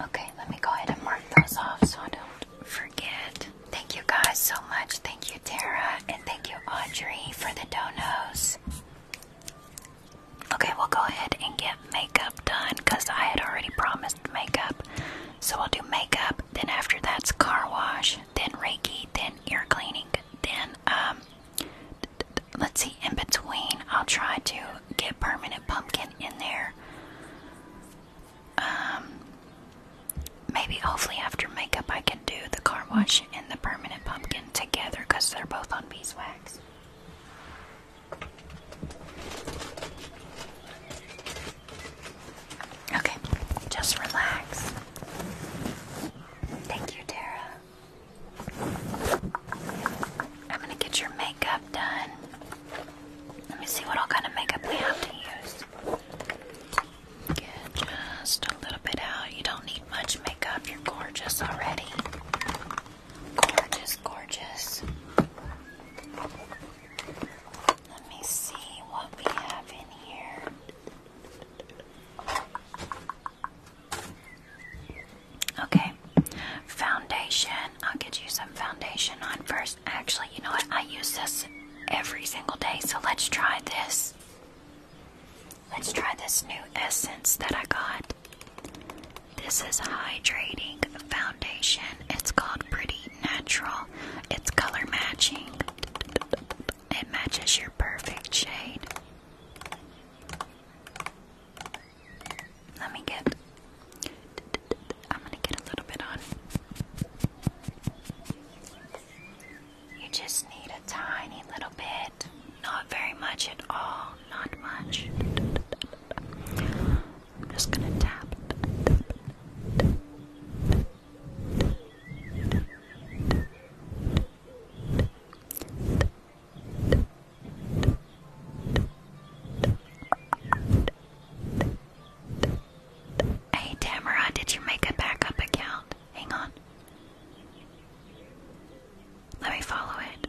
Okay, let me go ahead and mark those off so I don't forget. Thank you guys so much. Thank you, Tara, and thank you, Audrey, for the donos. Okay, we'll go ahead and get makeup done because I had already promised makeup. So we'll do makeup, then after that's car wash, then Reiki, then ear cleaning, then, um, let's see, in between, I'll try to get permanent pumpkin in there. Um, maybe hopefully after makeup, I can do the car wash and the permanent pumpkin together because they're both on beeswax. Okay, just relax. Thank you, Tara. I'm gonna get your makeup done. Let me see what all kind of makeup we have to use. just a little bit out. You don't need much makeup, you're gorgeous already. Gorgeous, gorgeous. Let me see what we have in here. Okay, foundation. I'll get you some foundation on first. Actually, you know what? I use this every single day, so let's try this. Let's try this new essence that I got. This is hydrating foundation. It's called Pretty Natural. It's color matching. It matches your perfect shade. Let me get I'm going to get a little bit on. You just need a tiny little bit, not very much at all not much. I'm just gonna tap. Hey Tamara, did you make a backup account? Hang on. Let me follow it.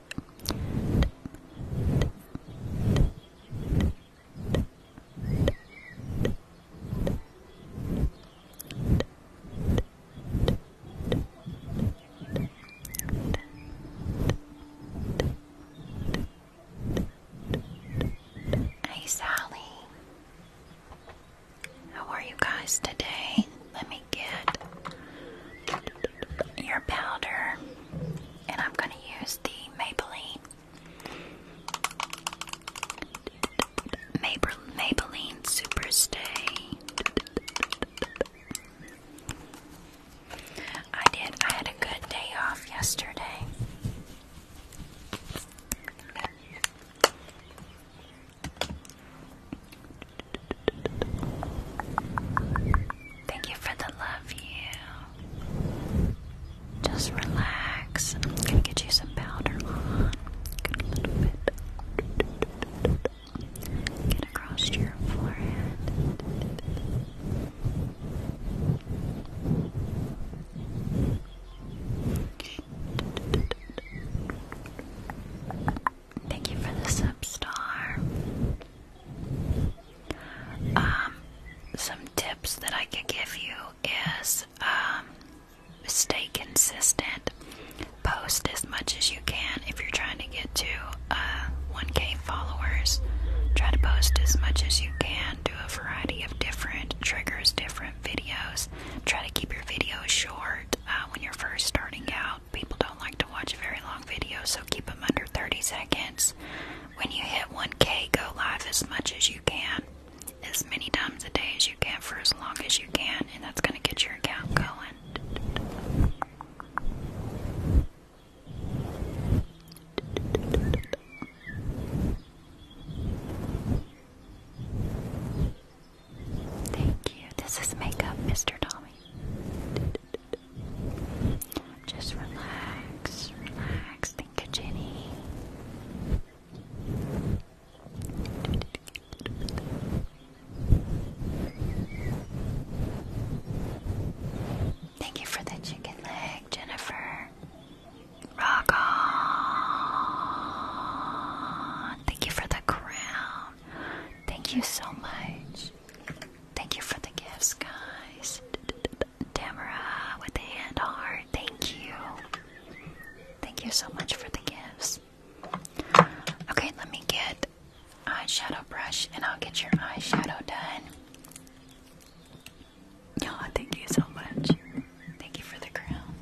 Hey, Sally. How are you guys today? Let me get your powder, and I'm going to use the Maybelline Maybelline Superstay. I did. I had a good day off yesterday. Thank you for the love you. Just relax. get you some powder on. Good little bit. Get across your forehead. Thank you for the substar. Um, some tips that I could give you is um, stay consistent. Post as much as you can if you're trying to get to 1K uh, followers. Try to post as much as you can. Do a variety of different triggers, different videos. Try to keep your videos short uh, when you're first starting out. People don't like to watch very long long video, so keep them under 30 seconds. When you hit 1K, go live as much as you can, as many times a day as you can, for as long as you can, and that's going to get your account going. Thank you. This is makeup, Mr. Tommy. Just relax, relax. Think of Jenny. Thank you for the chicken leg, Jennifer. Rock on! Thank you for the crown. Thank you so much. Thank you for the gifts, guys. Tamara with the hand heart. Thank you. Thank you so much for the gifts. Okay, let me get eyeshadow brush and I'll get your eyeshadow done. you thank you so much. Thank you for the crown.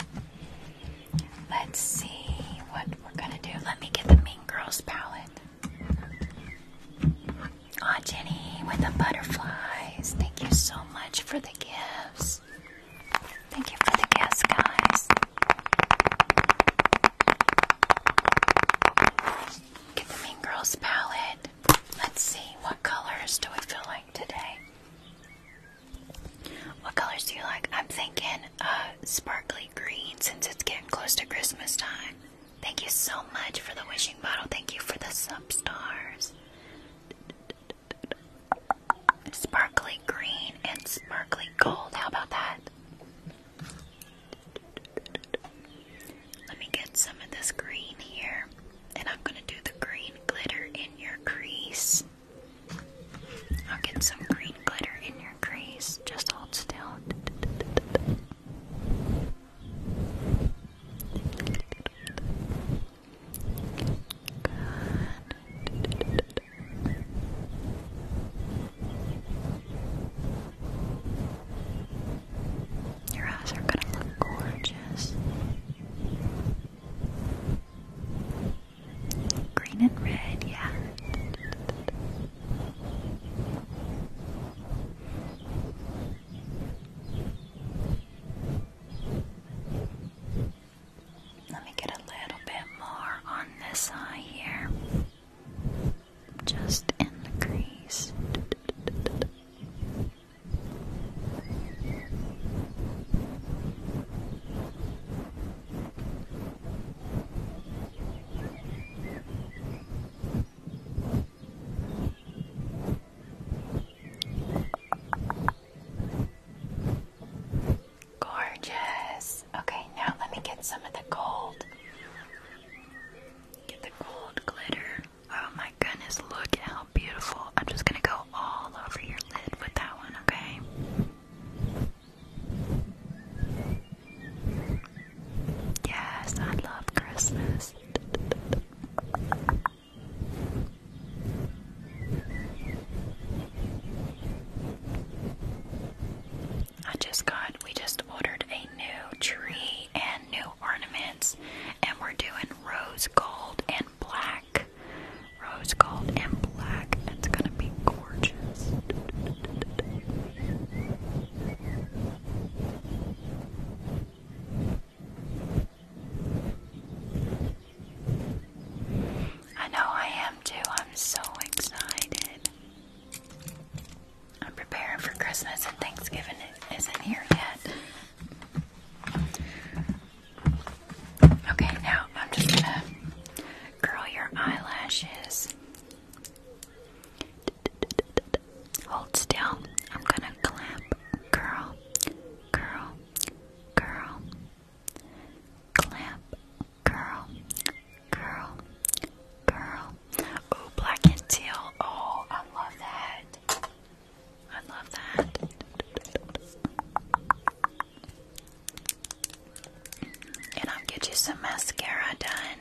Let's see what we're gonna do. Let me get the Mean Girls palette. Aw, Jenny with the butterflies. Thank you so much for the gifts. Thank you for the gifts, guys. Get the Mean Girls palette. Let's see, what colors do we feel like today? What colors do you like? I'm thinking uh, sparkly green since it's getting close to Christmas time. Thank you so much for the wishing bottle. Thank you for the sub stars. Sparkly green and sparkly gold. How about that? Let me get some of this green here. And I'm going to do the green glitter in your crease. I'll get some green glitter in your crease. Just hold still. Your eyes are gonna look gorgeous. Green and red, yeah. Let me get a little bit more on this eye here. Just in the crease. Gorgeous. Okay, now let me get some of the gold. Get the gold glitter. Oh my goodness, look at how beautiful. I'm just gonna go all over your lid with that one, okay? Yes, I love Christmas. I just got, we just ordered a new tree and new ornaments, and we're doing rose gold and black. Rose gold and black. It's gonna be gorgeous. I know I am too. I'm so excited. I'm preparing for Christmas and Thanksgiving it isn't here yet. Okay, now I'm just gonna curl your eyelashes. Hold still. I'm gonna clap. Curl, curl, curl. Clap, curl, curl, curl. Oh, black and teal. Oh, I love that. I love that. And I'll get you some mascara done.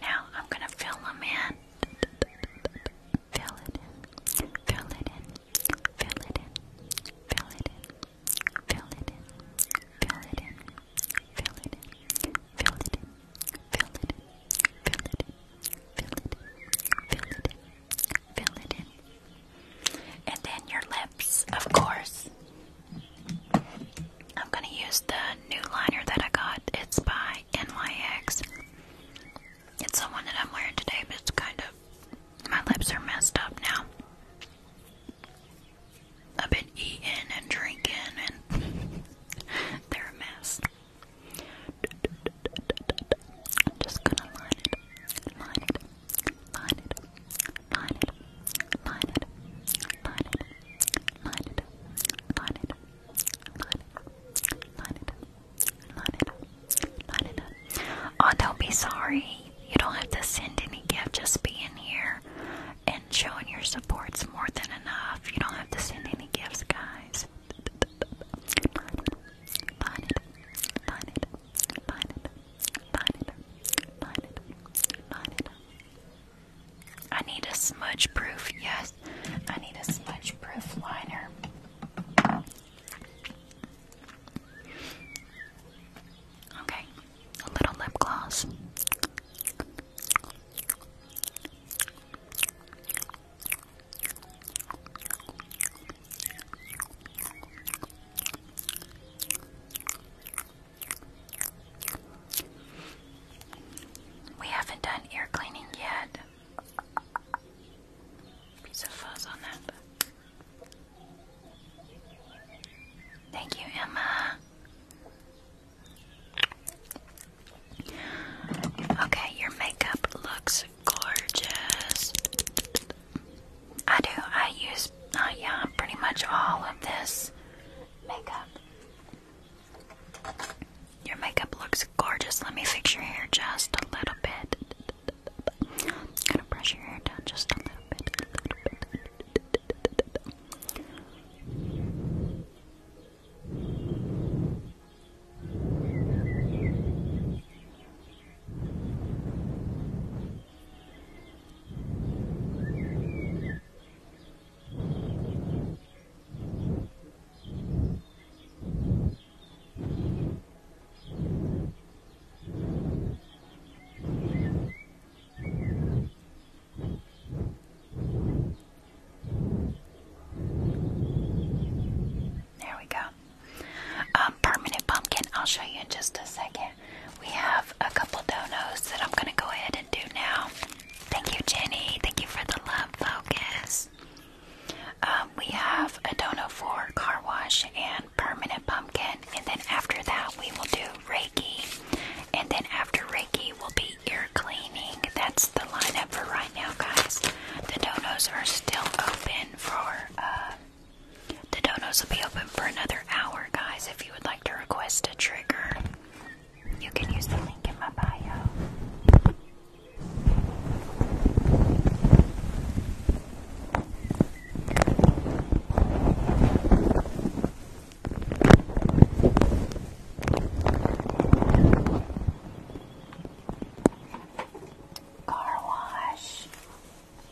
Now I'm gonna fill them in. Fill it in. Fill it in. Fill it in. Fill it in. Fill it in. Fill it in. Fill it in. Fill it in. Fill it in. Fill it in. Fill it in. Fill it in. Fill it in. And then your lips, of course. I'm going to use the new liner that I got. It's by NYX. It's the one that I'm wearing today, but it's kind of. My lips are messed up now. I've been eating and drinking, and (laughs) they're a mess. I'm just gonna line it, line it, line it, line it, line it, line it, Oh, don't be sorry. You don't have to send any gifts. Just being here and showing your support is more than enough. You don't have to send any gifts, guys. I need a smudge proof, yes. I need a smudge proof liner. Okay, a little lip gloss. We haven't done ear cleaning yet. Piece of on that. Thank you, Emma. Okay, your makeup looks gorgeous. I do. I use uh, yeah, pretty much all of this makeup. Your makeup looks gorgeous. Let me fix your hair just a little bit. gonna brush your hair down just a little bit. A little bit. There we go. Um, permanent pumpkin. I'll show you in just a second. We have a couple donos that I'm going to go ahead and do now. Thank you, Jenny. Thank you for the love focus. Um, we have a dono for car wash and permanent pumpkin, and then after that, we will do Reiki. And then after Reiki will be ear cleaning. That's the lineup for right now, guys. The donos are still open for uh, the donos will be open for another hour, guys. If you would like to request a trigger, you can use the link in my bio. Car wash.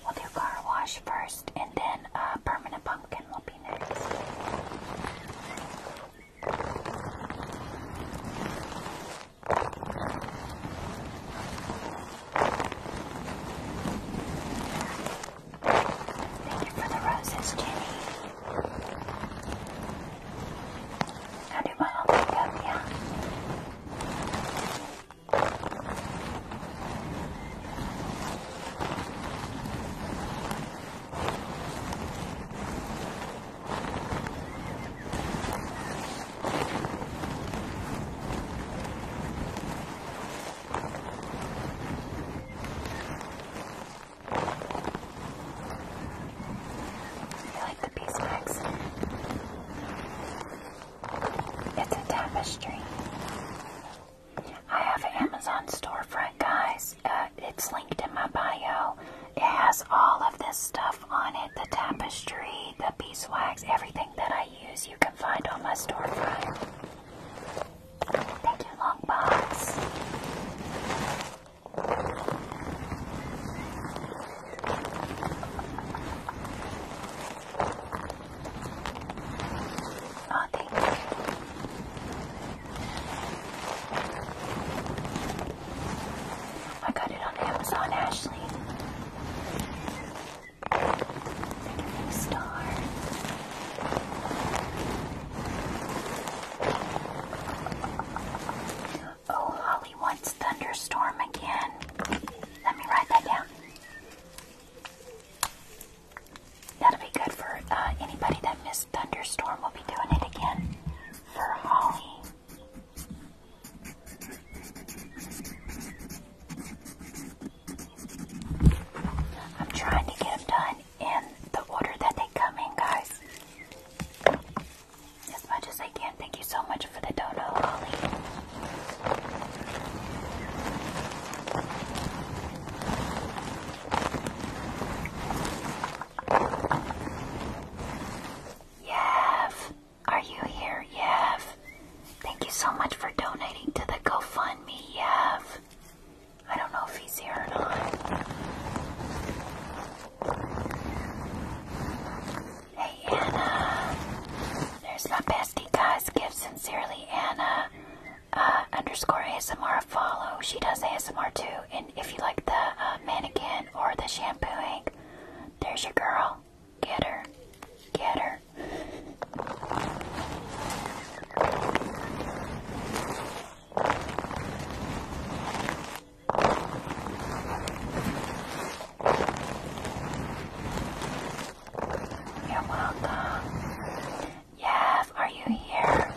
We'll do car wash first, and then uh, permanent pumpkin will be Thank you for the roses, Jenny. How do my help pick up? Yeah. I like the piece, Max. It's a tapestry. I have Amazon storefront, guys. Uh, it's linked in my bio. It has all of this stuff on it the tapestry, the beeswax, everything that I use you can find on my storefront. Thank you, Longbox. Oh, thank you. I got it on Amazon, Ashley. new star. Oh, Holly wants thunderstorm again. Let me write that down. That'll be good for uh, anybody that missed Thunderstorm. We'll be doing it again for Holly. I'm trying to get them done in the order that they come in, guys. As much as I can. Thank you so much for the dono, Holly. Yev, are you here, Yev? Thank you so much for donating to the GoFundMe, Yev. I don't know if he's here or not. Hey Anna, there's my bestie guys. Give sincerely, Anna. Uh, underscore ASMR follow. She does ASMR too. And if you like the uh, mannequin or the shampooing, there's your girl. Get her. Get her. You're welcome. Yes, are you here?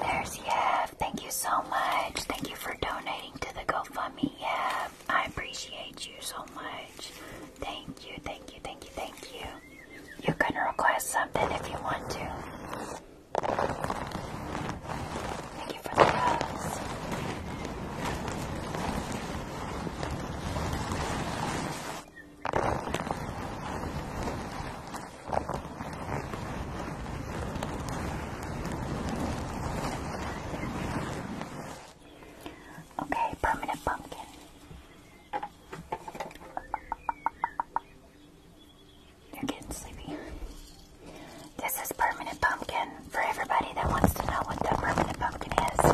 There's Yev. Thank you so much. Thank you for donating to the GoFundMe. Yev, I appreciate you so much. Thank you, thank you, thank you, thank you. You can request something if you want to. Thank you for the hugs. Okay, permanent pumpkin. They're getting sleepy. This is permanent pumpkin for everybody that wants to know what the permanent pumpkin is.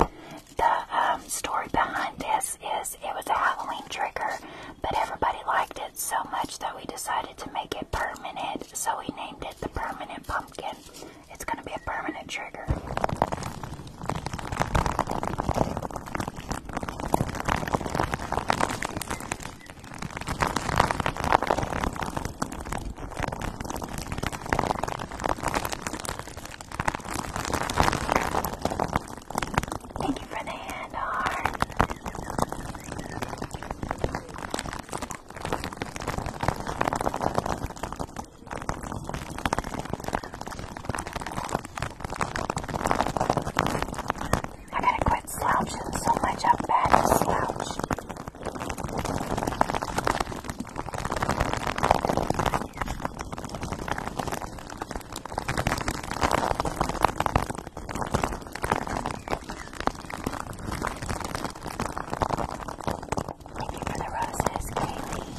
The um, story behind this is it was a Halloween trigger, but everybody liked it so much that we decided to make it permanent, so we named it the permanent pumpkin. It's going to be a permanent trigger. Thank you for the hand heart. I gotta quit slouching so much. I'm bad at slouch. Thank you for the roses, Kaylee.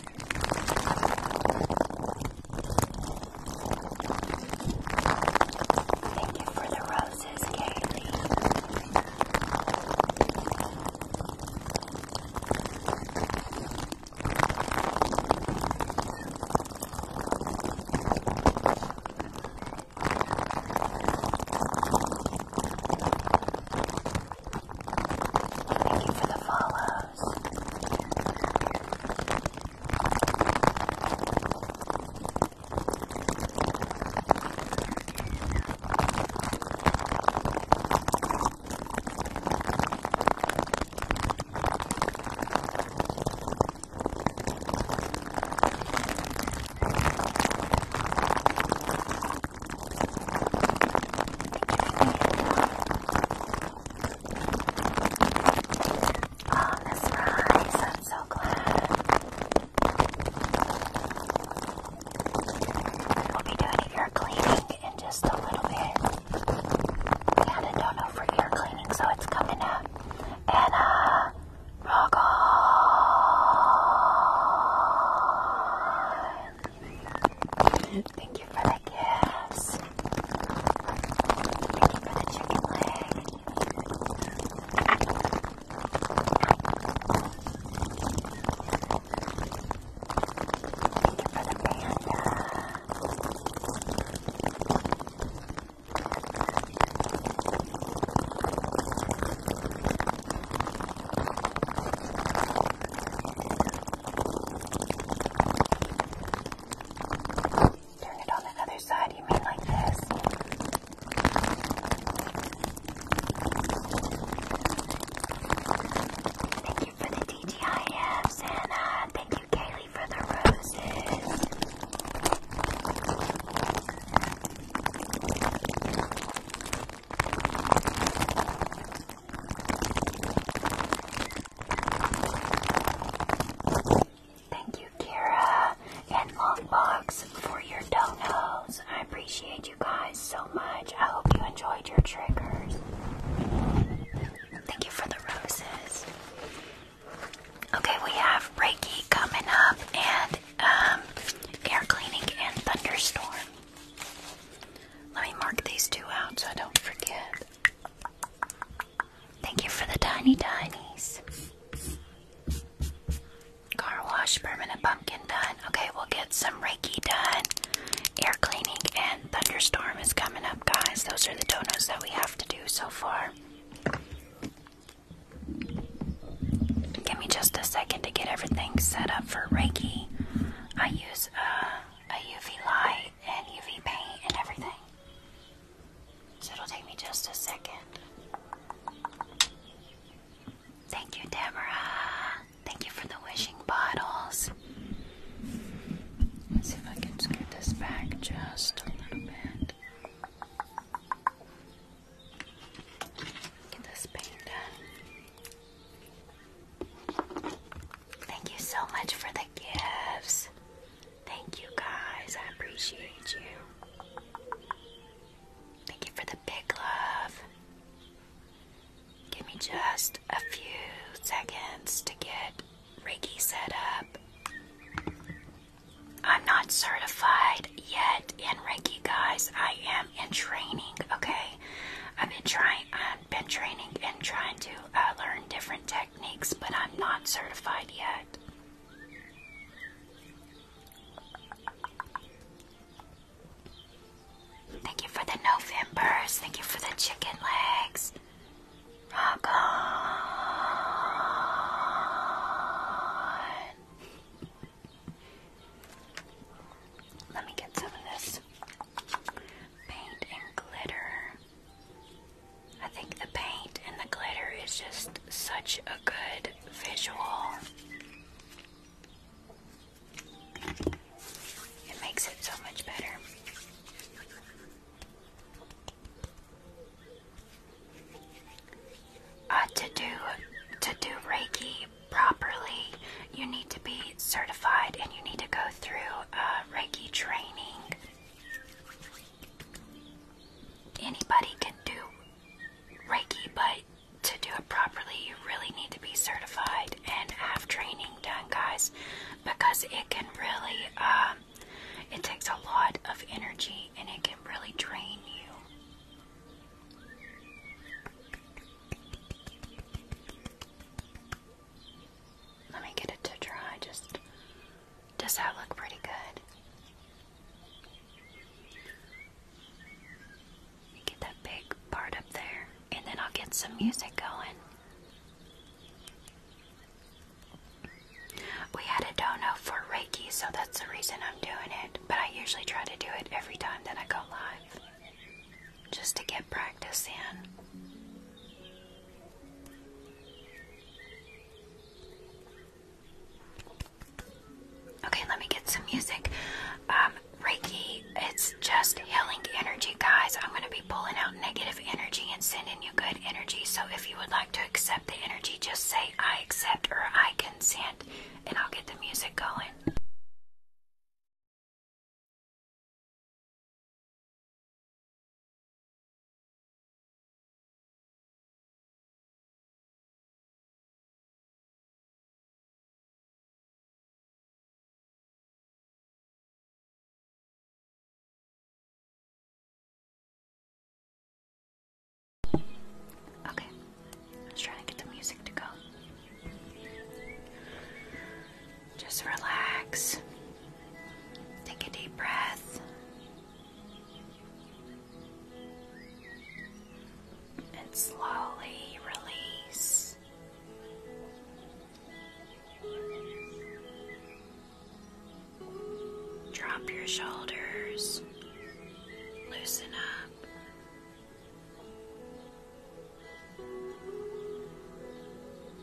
Thank you for the roses, Kaylee. Thank you for the follows. Oh, Miss I'm so glad. We'll be doing ear cleaning in just a little bit. We had a dono for ear cleaning, so it's coming up. Anna, uh, rock on. Thank you for the gifts. Thank you for the chicken leg. Thank you for the panda. Turn it on the other side, you mean like this? Thank you for the TGIF, Santa. Thank you, Kaylee, for the roses. Thank you, Kira and Longbox, for your donuts. I appreciate you guys so much. I hope you enjoyed your triggers. Thank you for the roses. Okay, we have Reiki coming up and um, air cleaning and thunderstorm. Let me mark these two out so I don't forget. Thank you for the tiny tinies. Car wash, permanent pumpkin done. Okay, we'll get some Reiki done. Air cleaning and thunderstorm is coming up, guys. Those are the donuts that we have to do so far. Give me just a second to get everything set up for Reiki. I use a uh, UV light and UV paint and everything. So it'll take me just a second. Thank you, Deborah. Thank you for the wishing bottles. Let's see if I can scoot this back just a little bit. Get this paint done. Thank you so much for the gifts. Thank you guys. I appreciate you. Thank you for the big love. Give me just a few seconds to get Ricky set up. I'm not certified yet in Ricky, guys. I am in training, okay? I've been trying I've been training and trying to I uh, learn different techniques, but I'm not certified yet. Thank you for the Novembers. Thank you for the chicken legs. Rock on. Let me get some of this paint and glitter. I think the paint and the glitter is just such a good visual. It makes it so much better. Uh, to do to do Reiki properly, you need to be certified and you need to go through Reiki training. Anybody can do Reiki, but to do it properly, you really need to be certified and have training done, guys, because it can really, um, it takes a lot of energy and it can really drain you. Let me get it to dry. Just does that look pretty good? Get that big part up there, and then I'll get some music going. We had a dono for Reiki, so that's the reason I'm doing it. But I usually try to do it every time that I go live, just to get practice in. Okay, let me get some music. Um, Reiki, it's just healing energy, guys. I'm going to be pulling out negative energy and sending you good energy. So if you would like to accept the energy, just say I accept or I consent, and I'll get the music going. Okay, I was trying to get the music to go. Just relax. Take a deep breath. And slowly release. Drop your shoulders. Loosen up.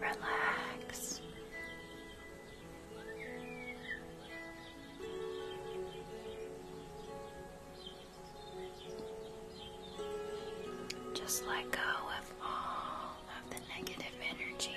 Relax. Just let go of all of the negative energy.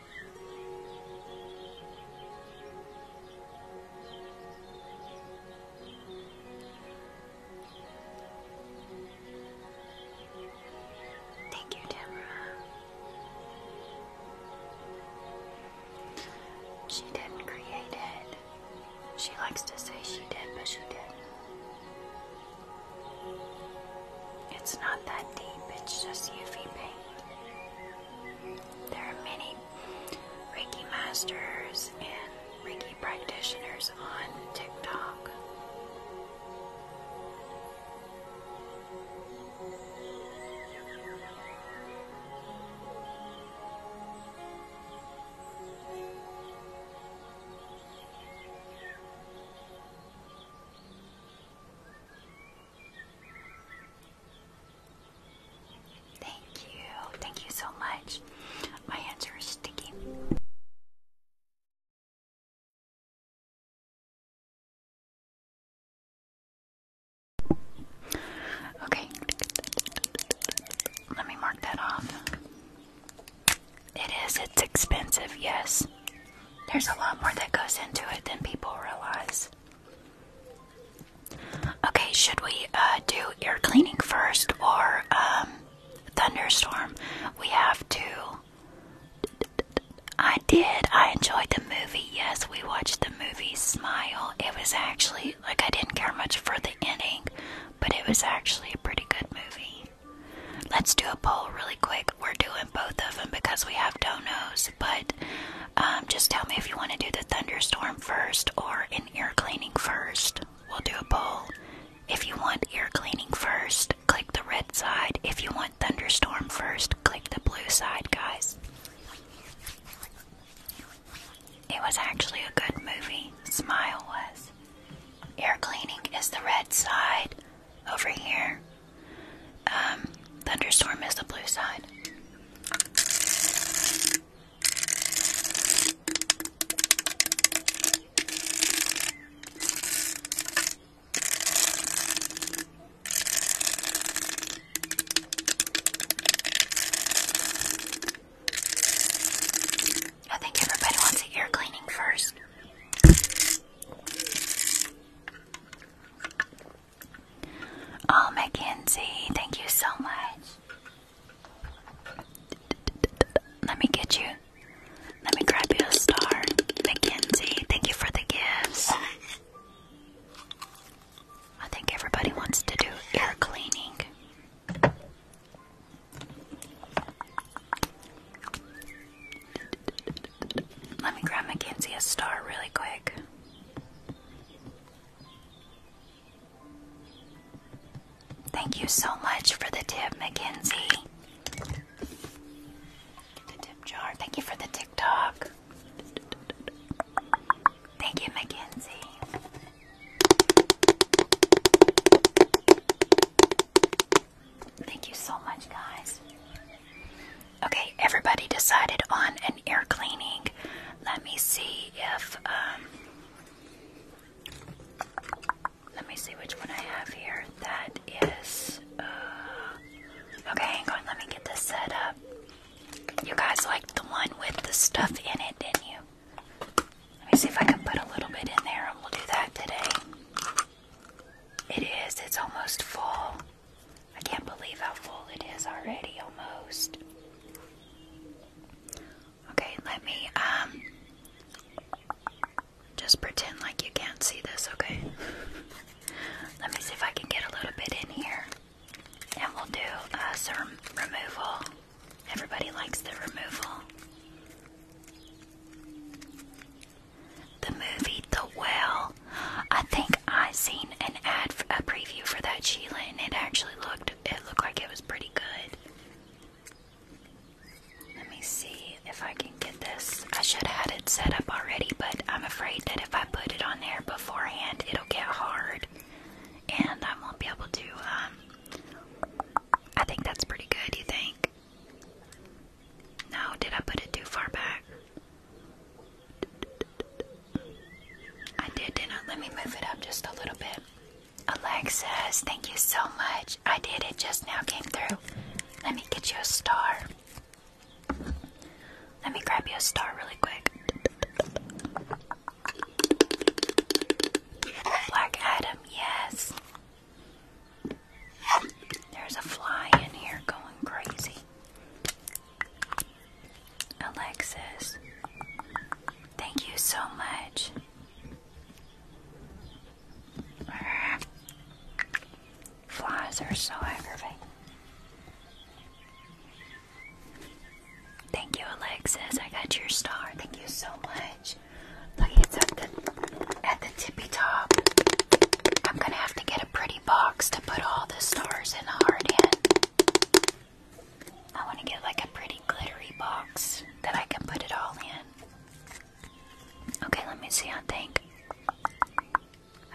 Thank you, Deborah. She didn't create it. She likes to say she did, but she didn't. It's not that deep, it's just UV paint. There are many Reiki masters and Reiki practitioners on TikTok. Thank you. Thank you so much. My hands are sticky. Okay. Let me mark that off. It is. It's expensive, yes. There's a lot more that goes into it than people realize. Okay, should we uh, do ear cleaning first or um, thunderstorm? We have to. I did. I enjoyed the movie. Yes, we watched the movie Smile. It was actually like I didn't care much for the ending, but it was actually a pretty good movie. Let's do a poll really quick. We're doing both of them because we have donos but um, just tell me if you want to do the thunderstorm first or an ear cleaning first. We'll do a poll. If you want ear cleaning first, click the red side. If you want thunderstorm first, click the blue side, guys. It was actually a good movie. Smile was. Ear cleaning is the red side over here. Um, thunderstorm is the blue side. I think everybody wants the ear cleaning first. Oh, Mackenzie, thank you so much. Let me get you. Let me grab you a star. Mackenzie, thank you for the gifts. I think everybody wants to do air cleaning. Let me grab Mackenzie a star really quick. Thank you so much for the tip, Mackenzie. the tip jar. Thank you for the TikTok. Thank you, Mackenzie. Thank you so much, guys. Okay, everybody decided on an air cleaning. Let me see if um let me see which one I have here. That is uh Okay, hang on, let me get this set up. You guys liked the one with the stuff in it, didn't you? Let me see if I can put a little bit in there and we'll do that today. It is, it's almost full. I can't believe how full it is already almost. Okay, let me um just pretend like you can't see this, okay? (laughs) let me see if I can get a little bit in here. And we'll do uh, some removal. Everybody likes the removal. The movie The Well I think I seen an ad, for, a preview for that Sheila, and it actually looked it looked like it was pretty good. Let me see if I can get this. I should have had it set up already, but I'm afraid that if I put it on there beforehand, it'll get hard, and I won't be able to. Um, I think that's pretty good. You think? No, did I put it too far back? I did, didn't Let me move it up just a little bit. Alexis, thank you so much. I did it just now, came through. Let me get you a star. Let me grab you a star really quick. Black Adam, yes. There's a fly in here going crazy. Alexis, thank you so much. Flies are so aggravating. Thank you, Alexis. I got your star. Thank you so much. Look, it's at the, at the tippy top. I'm gonna have to get a pretty box to put all the stars and the heart in. I want to get like a pretty glittery box that I can put it all in. Okay, let me see. I think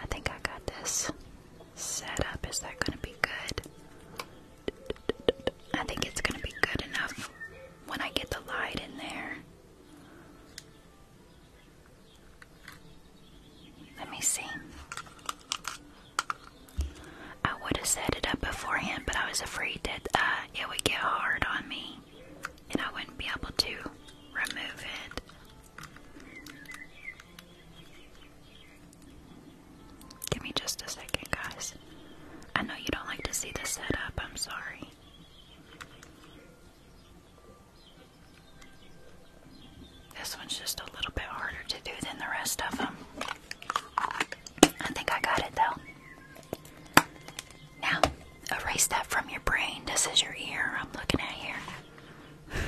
I think I got this set up. Is that going to be good? I think it's going to be good enough when I get the light in there. Let me see. I would have set it up beforehand, but I was afraid that uh, it would get hard on me and I wouldn't be able to remove it. Give me just a second, guys. I know you don't like to see the setup, I'm sorry. This one's just a little bit harder to do than the rest of them. I think I got it though. Now, erase that from your brain. This is your ear I'm looking at here. (laughs)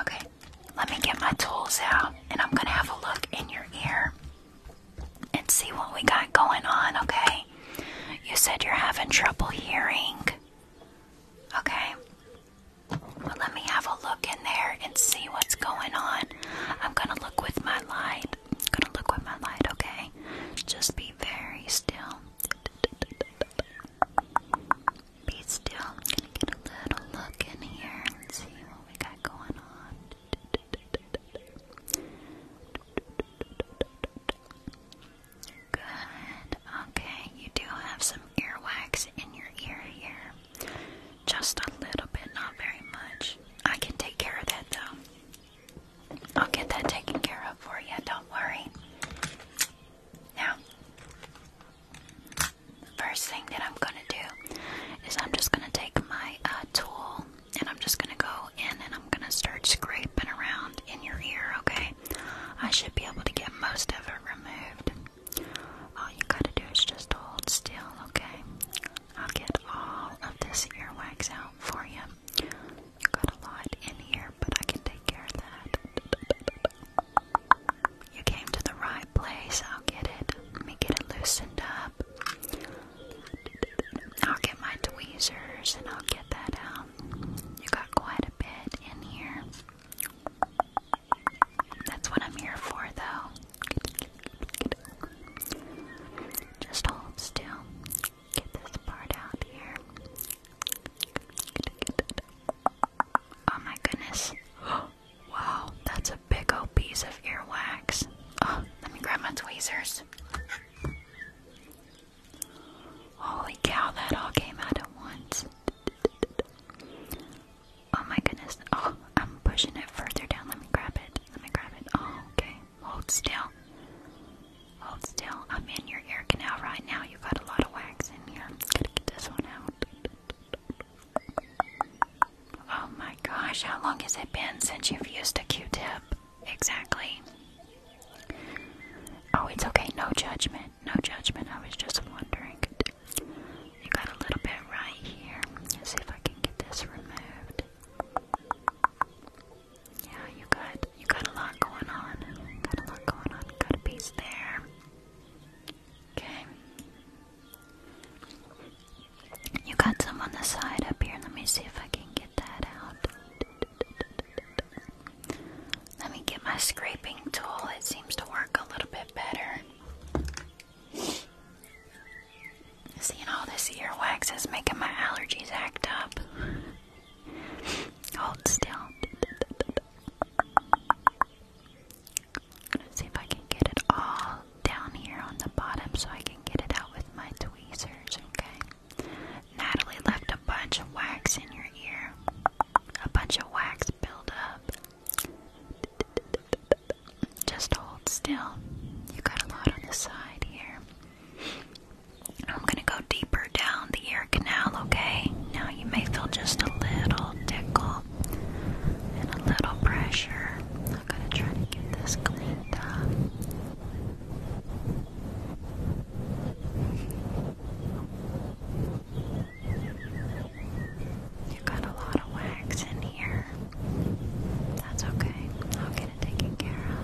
Okay, let me get my tools out and I'm gonna have a look in your ear and see what we got going on, okay? You said you're having trouble hearing. Okay. let me have a look in there and see what's going on. I'm gonna look with my light. I'm gonna look with my light, okay? Just be very still. Be still. gonna get a little look in here and see what we got going on. Good. Okay, you do have some earwax in your ear here. Just a little bit, not very much. I can take care of that though. I'll get that taken care of for you, don't worry. Now, first thing that I'm gonna do is I'm just gonna take my uh, tool and I'm just gonna go in and I'm gonna start scraping around in your ear, okay? I should be able to get most of it removed. All you gotta do is just hold still, okay? I'll get all of this earwax out for you. You got a lot in here, but I can take care of that. You came to the right place. I'll get it. Let me get it loosened up. I'll get my tweezers and I'll get that out you got quite a bit in here. That's what I'm here for, though. Just hold still. Get this part out here. Oh my goodness. (gasps) Wow, that's a big old piece of earwax. Oh, let me grab my tweezers. Holy cow, that all came out at once. Oh my goodness. Oh, I'm pushing it further down. Let me grab it. Let me grab it. Oh, okay. Hold still. Hold still. I'm in your ear canal right now. You got a lot of wax in here. i to get this one out. Oh my gosh, how long has it been since you've used a Q tip? Exactly. Oh, it's okay. No judgment. No judgment. I was just wondering. You got a little bit right here. Let's see if I can get this removed. Yeah, you got you got a lot going on. Got a lot going on. Got a piece there. Okay. You got some on the side up here. Let me see if I can get that out. Let me get my scraping tool. It seems to work a little bit better. Seeing all this ear wax is making my allergies act up. Hold still. Let's see if I can get it all down here on the bottom so I can get it out with my tweezers, okay? Natalie left a bunch of wax in your ear. A bunch of wax build up. Just hold still. You got a lot on the side here. I'm gonna go deeper down the ear canal, okay? Now you may feel just a little tickle and a little pressure. I'm gonna try to get this cleaned up. You got a lot of wax in here. That's okay. I'll get it taken care of.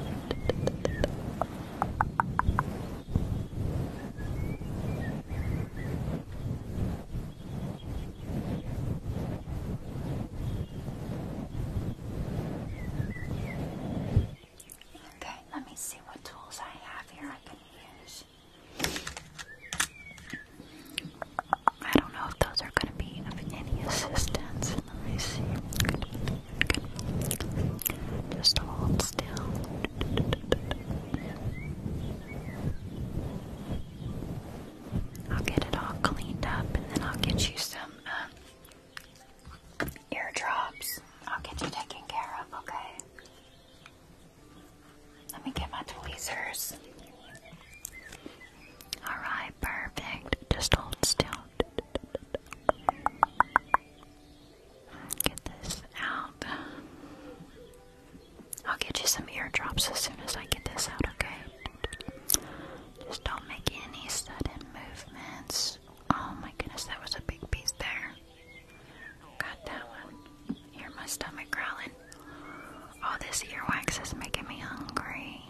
Okay, let me see what tools I have here I can use. I don't know if those are going to be of any assistance. Just hold still. I'll get it all cleaned up and then I'll get you some uh, eardrops. I'll get you taken care of, okay? Let me get my tweezers. Alright, perfect. Just hold still. Get this out. I'll get you some eardrops as soon as I get this out, okay? Just don't make any sudden movements. Oh my goodness, that was a big piece there. Got that one. Hear my stomach growling. All this earwax is making me hungry.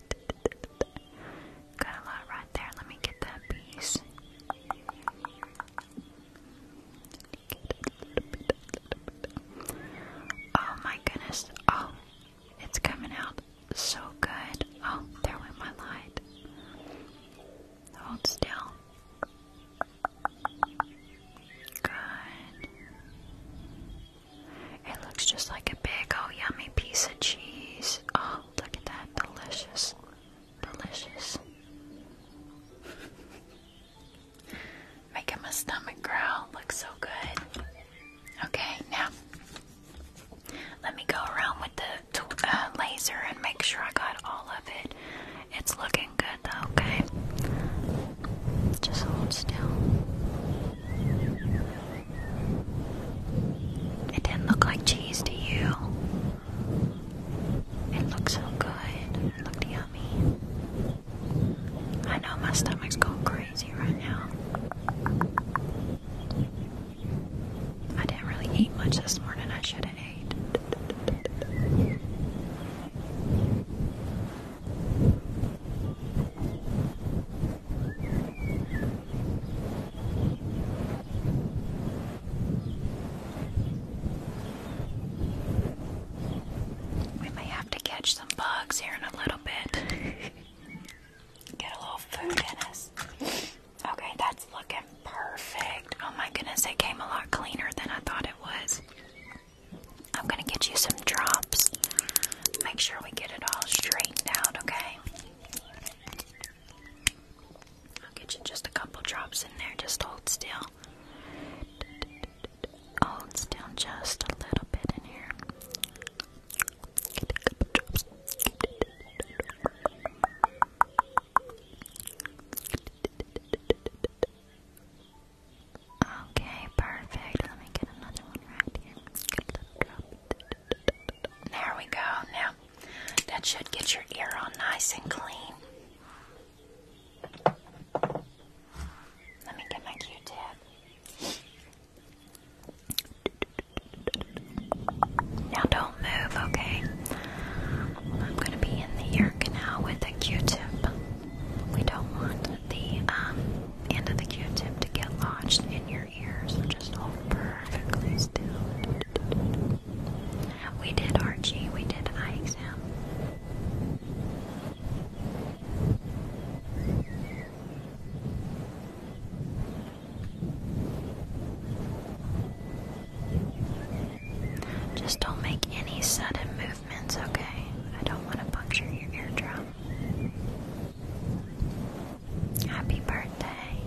(laughs) Got a lot right there. Let me get that piece. Oh my goodness. Oh, it's coming out so good. Oh, there went my light. Hold still. Good. It looks just like a big, oh, yummy piece of cheese. Oh, look at that. Delicious. Delicious. Making my stomach growl. Looks so good. Okay, now let me go around with the uh, laser and make sure I got all of it. It's looking good though, okay? Just hold still. It didn't look like cheese to you. It looked so good. It yummy. I know my stomach's going crazy right now. I didn't really eat much this morning. I should have ate. We may have to catch some bugs here in a little bit. (laughs) Get a little food in us. Okay, that's looking perfect. Oh my goodness, it came a lot cleaner than I thought it was. I'm gonna get you some drops. Make sure we get it all straightened out, okay? I'll get you just a couple drops in there. Just hold still. Hold still just a little bit in here. Okay, perfect. Let me get another one right here. There we go. Now, that should get your ear all nice and clean. Let me get my Q-tip. Now don't move, okay? I'm gonna be in the ear canal with a Q-tip. We don't want the um, end of the Q-tip to get lodged in your ear, just hold perfectly still. We did Archie. We did eye exam. Just don't make any sudden movements, okay? I don't want to puncture your eardrum. Happy birthday.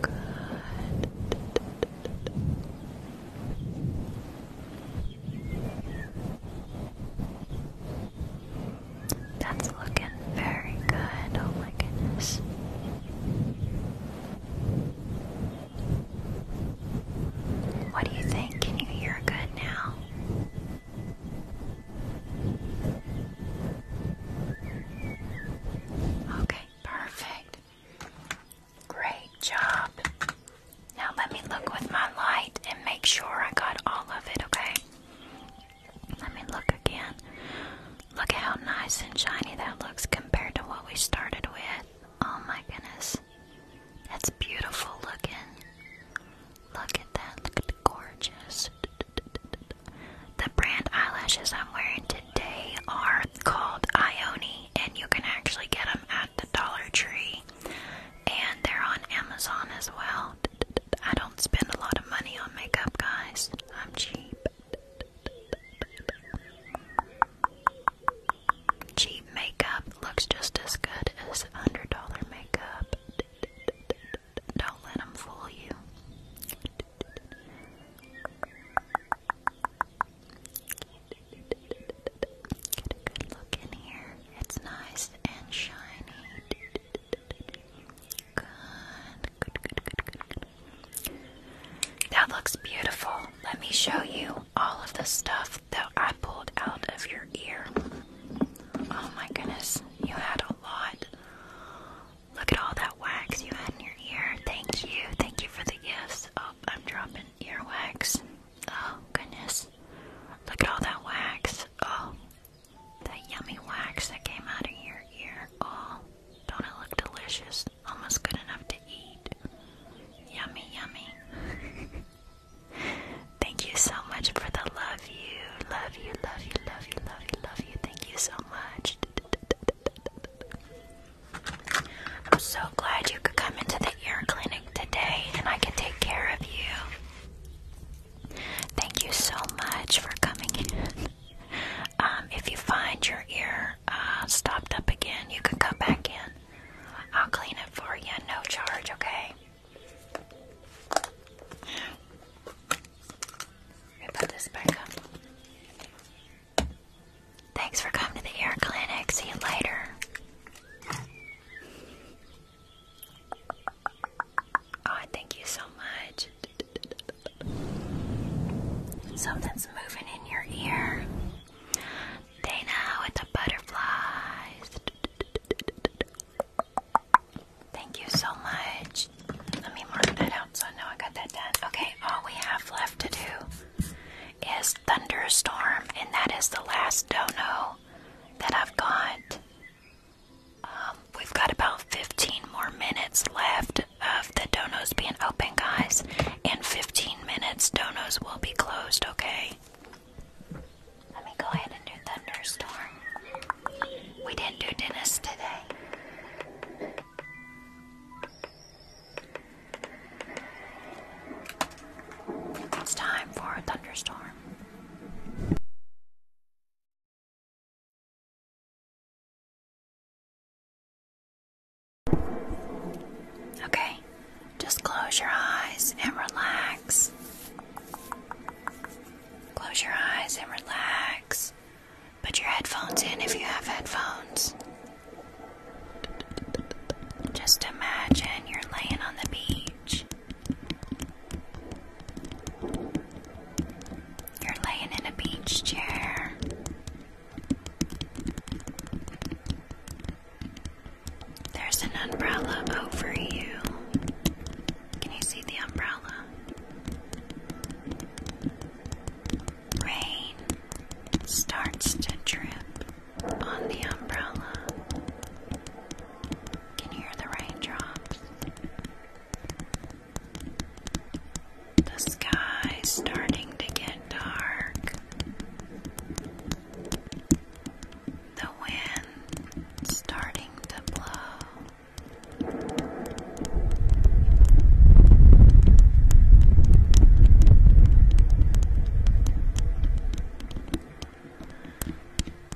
Good. That's looking very good. Oh my goodness. What do you think? Can you hear good now? Okay, perfect. Great job. Now let me look with my light and make sure I got all of it, okay? Let me look again. Look at how nice and shiny that looks compared to what we started with. Oh my goodness. That's beautiful looking. Look at that. Look at the gorgeous. The brand eyelashes I'm wearing today are called Ione, and you can actually get them at the Dollar Tree. And they're on Amazon as well. I don't spend a lot of money on makeup, guys. I'm cheap. Cheap makeup looks just as good as $100 makeup. Don't let them fool you. Get a good look in here. It's nice and shiny. Good. Good, good, good, good, That looks beautiful. Let me show you all of the stuff that I pulled out of your ear. Oh my goodness, you had a lot. Look at all that wax you had in your ear. Thank you. Thank you for the gifts. Oh, I'm dropping earwax. Oh, goodness. Look at all that wax. Oh, that yummy wax that came out of your ear. Oh, don't it look delicious? Almost good enough to eat. Yummy, yummy. (laughs) Thank you so much for the love you. Love you, love you, love you, love you, love you. Thank you so much. I'm so glad you could come into the ear clinic today and I can take care of you. Thank you so much for coming (laughs) um, if you find your ear uh, stopped up again, you can come back in. I'll clean it for you, no charge, okay? put this back up. Thanks for coming to the ear clinic. See you later. Oh, thank you so much. Something's moving in your ear. They know it's a butterfly. Thank you so much. Let me mark that out so I know I got that done. Okay, all we have left to do is thunderstorm, and that is the last dono that I've got. Um, we've got about 15 more minutes left of the donos being open, guys. In 15 minutes, donos will be closed, okay? Let me go ahead and do thunderstorm. We didn't do Dennis today. It's time for a thunderstorm. Okay, just close your eyes and relax. Close your eyes and relax. Put your headphones in if you have headphones. Just imagine you're laying on the beach you're laying in a beach chair. There's an umbrella over you. Can you see the umbrella? Rain starts to drip on the umbrella. Can hear the raindrops? The sky's starting to get dark. The wind starting to blow.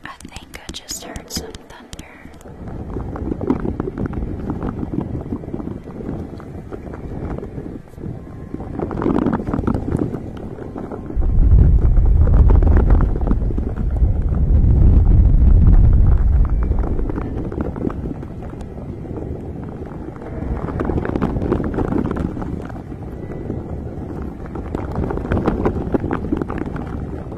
I think I just heard some thunder.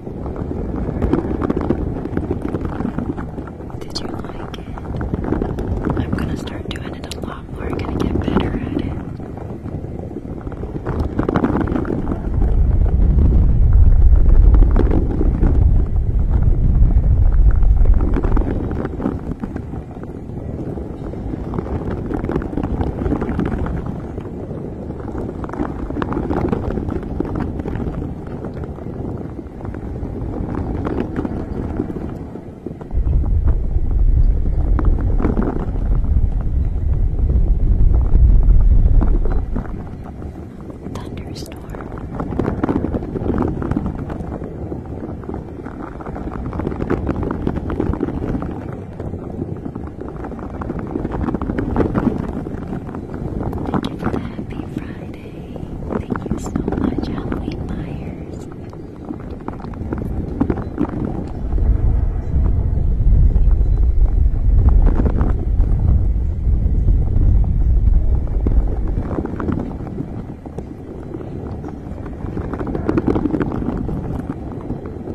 Did you like it? I'm gonna start doing it a lot more. gonna get better at it. Thunderstorm. Thank you for the happy Friday. Thank you so much, Halloween Myers.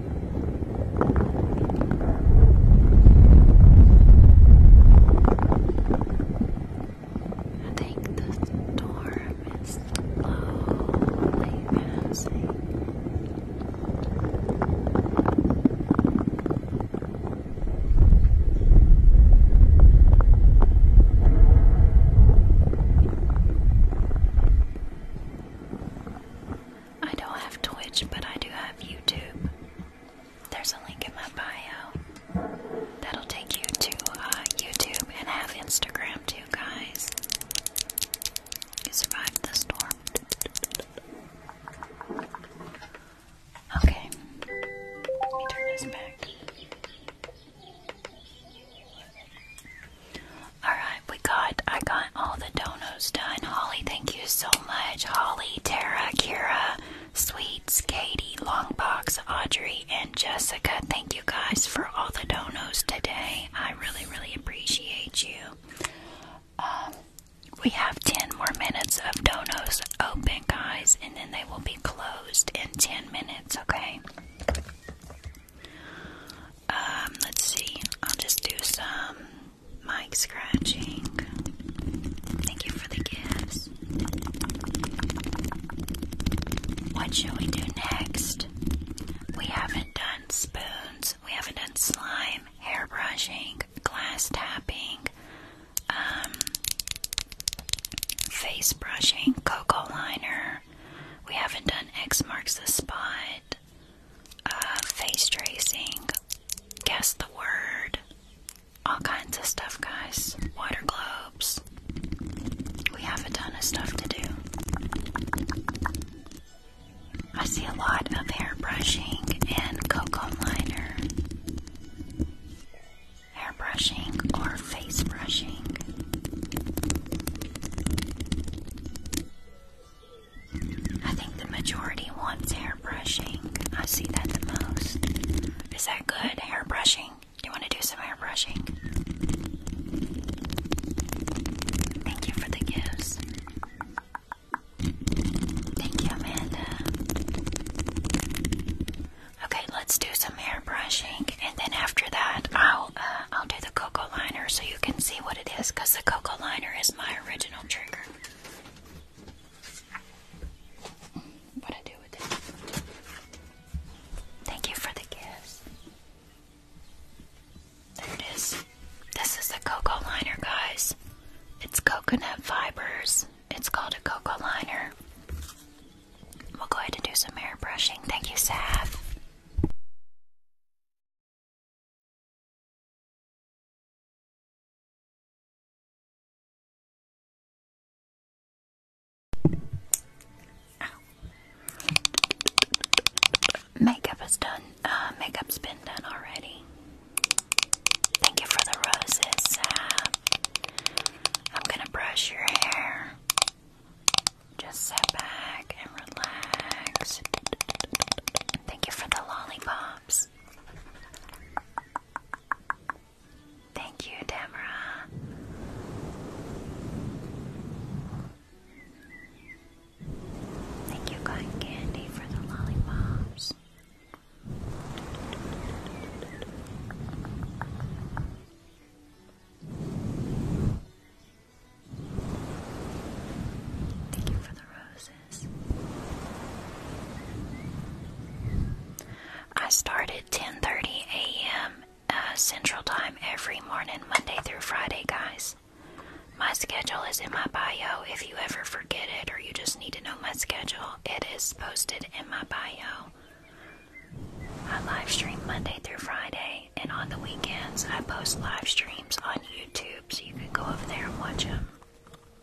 I think the storm is slowly passing. I don't have Twitch, but I do have YouTube. There's a link in my bio. That'll take you to uh, YouTube and have Instagram too, guys. You survived the storm. Okay. turn this back. Alright, we got I got all the donos done. Holly, thank you so much. Holly, Tara, Kira, Sweets, Katie, Longbox, Audrey, and Jessica. Thank you guys for all the donos today. I really, really appreciate you. Um, we have 10 more minutes of donos open, guys, and then they will be closed in 10 minutes, okay? Um, let's see. I'll just do some mic scratching. Thank you for the gifts. What should we do next? We haven't done spoons, we haven't done slime, hair brushing, glass tapping, um, face brushing, cocoa liner. We haven't done X marks the spot. Uh, face tracing, guess the word, all kinds of stuff, guys. Water globes. We have a ton of stuff to do. I see a lot of hair brushing and cocoa liner. Hair brushing or face brushing. I think the majority wants hair brushing. I see that the most. Is that good? Hair brushing? Do you want to do some hair brushing? Thank you for the gifts. Thank you, Amanda. Okay, let's do some hair brushing, and then after that, I'll uh, I'll do the cocoa liner so you can see what it is, because the cocoa liner is my original trigger what I do with it. Thank you for the gifts. There it is. This is the cocoa liner, guys. It's coconut fibers. It's called a cocoa liner. We'll go ahead and do some hair brushing. Thank you, Sav. Makeup is done. Uh, makeup's been done already. Thank you for the roses. I'm gonna brush your hair. Just sit back and relax. Thank you for the lollipops. Thank you, Tamara. Thank you, Cotton Candy, for the lollipops. Thank you for the roses. I start at 10:30 a.m. Uh, Central Time every morning, Monday through Friday, guys. My schedule is in my bio. If you ever forget it or you just need to know my schedule, it is posted in my bio. I live stream Monday through Friday, and on the weekends, I post live streams on YouTube, so you can go over there and watch them.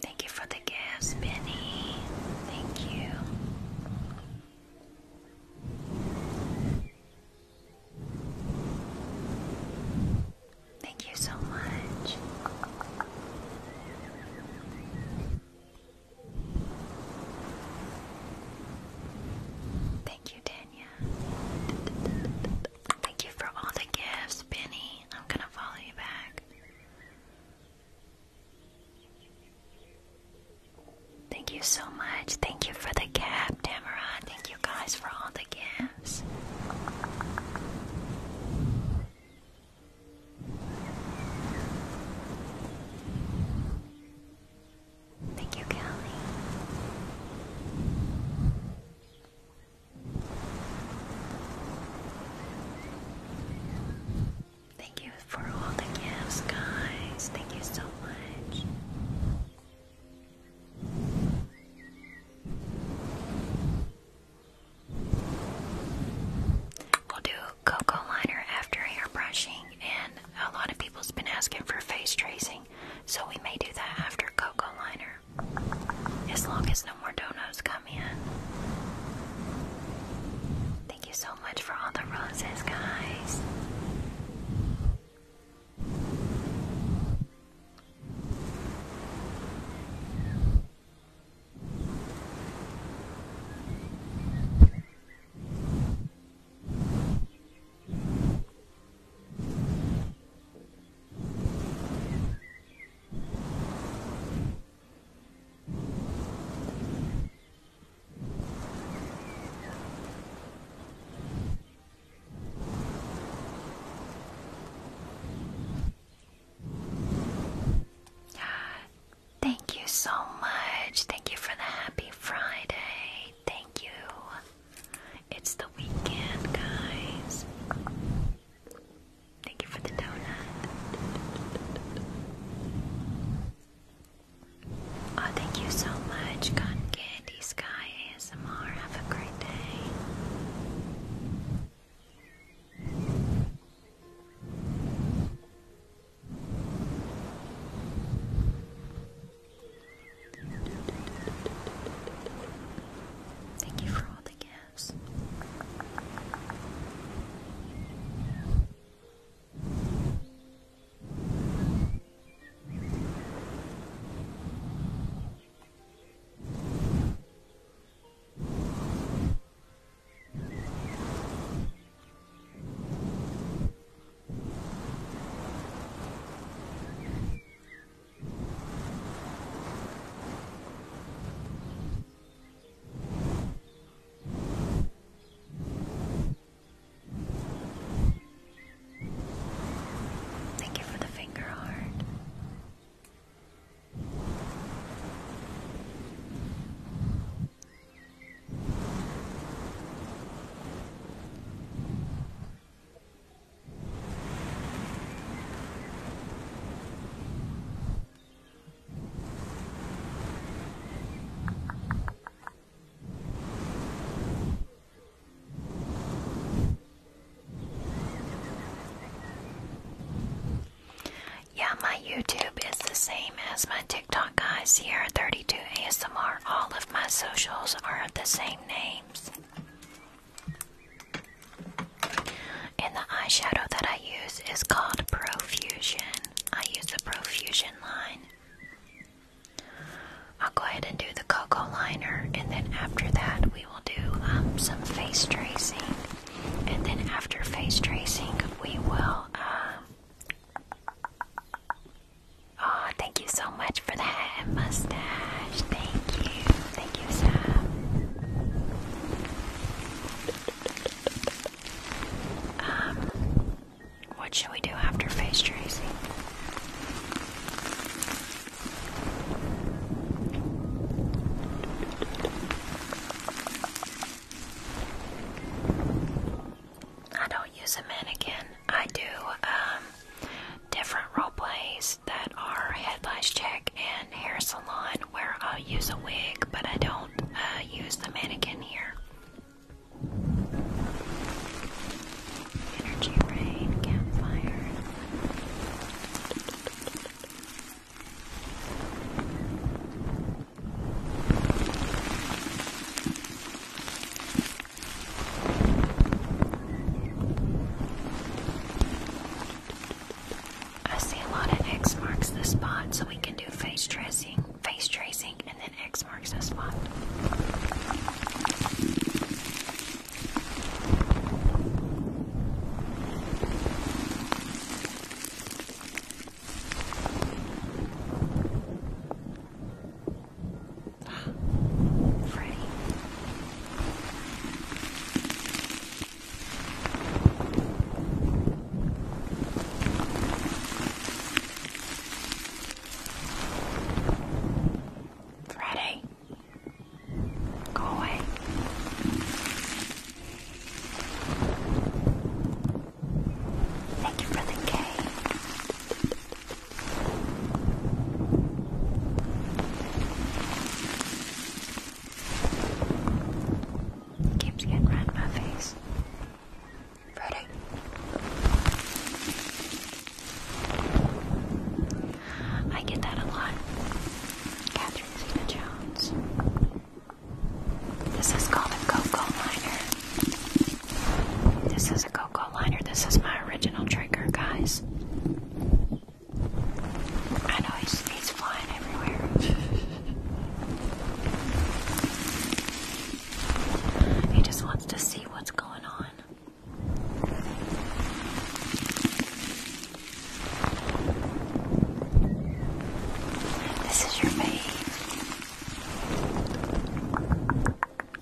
Thank you for the gifts, Benny. Thank you. Thank you so much. Thank you, Tanya. Thank you for all the gifts, Benny. I'm gonna follow you back. Thank you so much. Thank you for the cap, Tamara. Thank you guys for all the gifts. Thank you, Kelly. Thank you for all the gifts, guys. Thank you so much. We'll do cocoa liner after hair brushing and a lot of people's been asking for face tracing, so we may do that after Cocoa Liner. As long as no more donuts come in. Thank you so much for all the roses, guys. Thank you so much. Thank you for the happy Friday. Thank you. It's the weekend, guys. Thank you for the donut. Oh, thank you so much, Gun Candy Sky ASMR. Have a great day. Thank you for all the gifts. Thank you for the finger heart. Yeah, my YouTube is the same as my TikTok guys here, 32 ASMR. All of my socials are the same names. And the eyeshadow that I use is called Profusion. I use the Profusion line. I'll go ahead and do the cocoa liner, and then after that, we will do um, some face tracing. And then after face tracing, we will uh, Oh, thank you so much for that mustache. Thank you. Thank you, Sam. Um, what should we do after face tracing? I don't use a mannequin. I do um, different role plays that are headlights check and hair salon where I'll use a wig, but I don't uh, use the mannequin here. Energy rain, campfire. I see a lot of X marks the spot, so we can do face tracing, face tracing, and then X marks the spot. Freddy. Freddy. Go away. Thank you for the game. Keeps getting right in my face. Ready? I get that a lot. Catherine Jones. This is called a Coco liner. This is a Cocoa liner. This is my original trigger, guys. I know he's, he's flying everywhere. he just wants to see what's going on. This is your babe.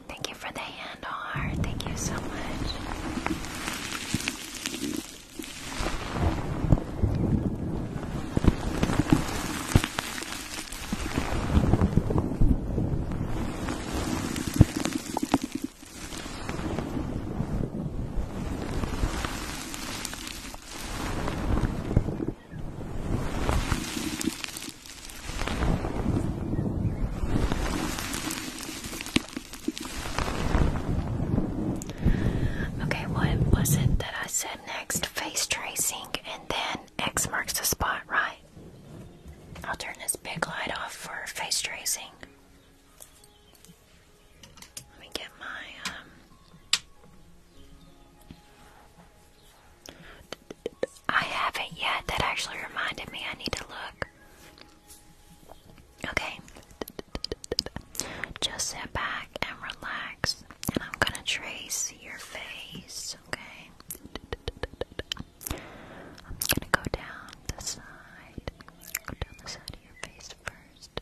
Thank you for the hand heart. Thank you so much. Okay, what was it that I said next? Face tracing and then X marks the spot, right? I'll turn this big light off for face tracing. Let me get my um I haven't yet. That actually reminded me I need to look. Okay. Just sit back and relax. And I'm gonna trace your face, okay? I'm gonna go down the side. Go down the side of your face first.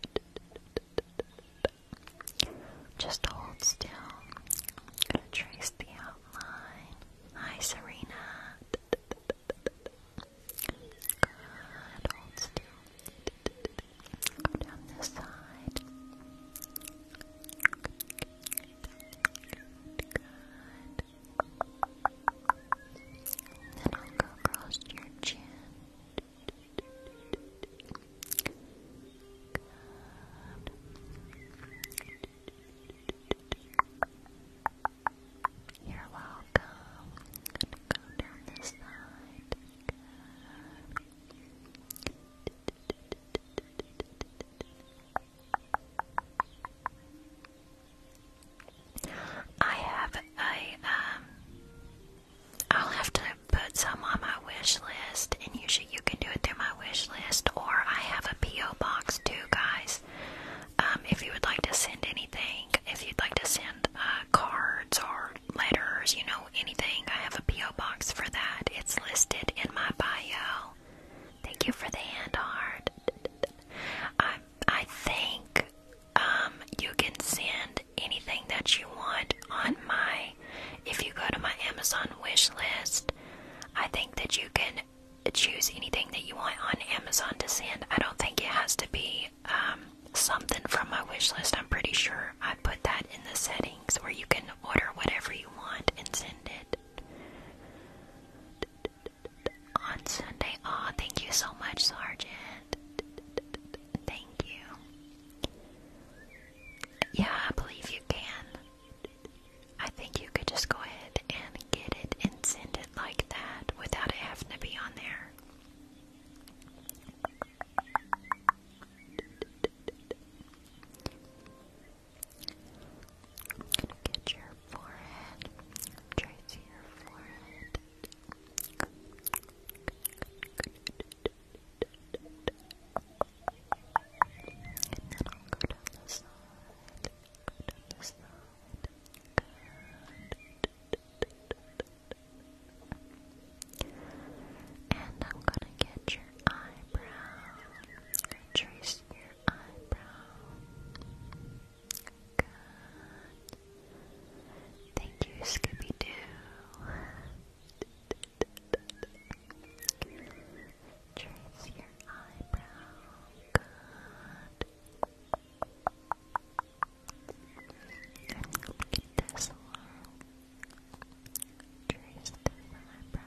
Just hold still. I'm gonna trace the outline. Hi, Serena. Good. Hold down this side. Good. Then I'll go across your chin. You're welcome. I'm gonna go down this side. Good. I have a um I'll have to put some on my wish list and usually you can do it through my my wish list, or I have a P.O. box too, guys. Um, if you would like to send anything, if you'd like to send uh, cards or letters, you know, anything, I have a P.O. box for that. It's listed in my bio. Thank you for the hand art. I, I think um, you can send anything that you want on my. If you go to my Amazon wish list, I think that you can choose anything that you want on Amazon to send. I don't think it has to be um, something from my wish list. I'm pretty sure I put that in the settings where you can order whatever you want and send it. On Sunday. Aw, thank you so much, Sergeant. Thank you. Yeah, I believe you can. I think you could just go ahead and get it and send it like that without it having to be on there. I'm gonna get your forehead, trace your forehead. And then I'll go down the side. And I'm gonna get your eyebrow. Trace your eyebrow. Thank you, Scooby Doo. Trace your eyebrow. And get this Trace this eyebrow.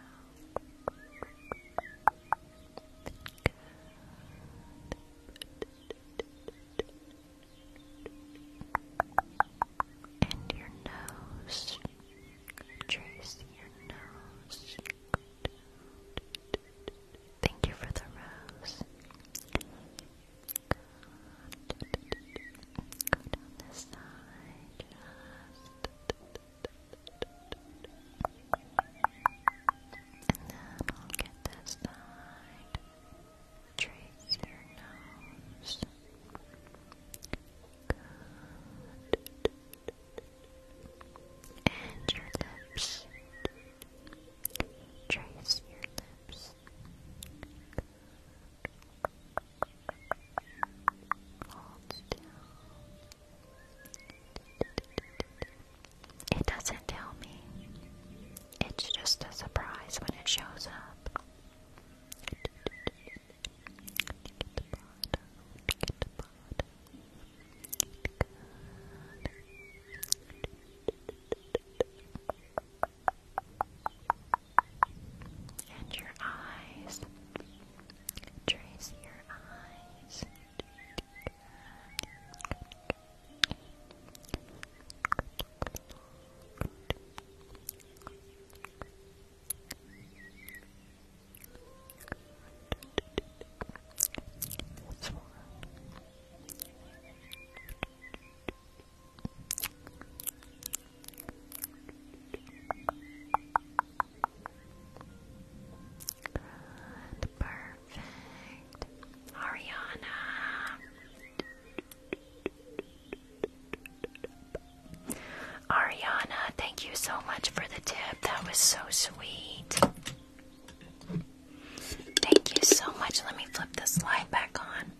And your nose. Trace your nose. Thank you for the rose. And then I'll get this side. Trace your nose and your lips. Trace your lips. It doesn't tell me. It's just a surprise when it shows up. And your eyes. Trace your eyes. Good. This perfect. Ariana. Ariana, thank you so much for the tip. That was so sweet. Thank you so much. Let me flip this slide back on.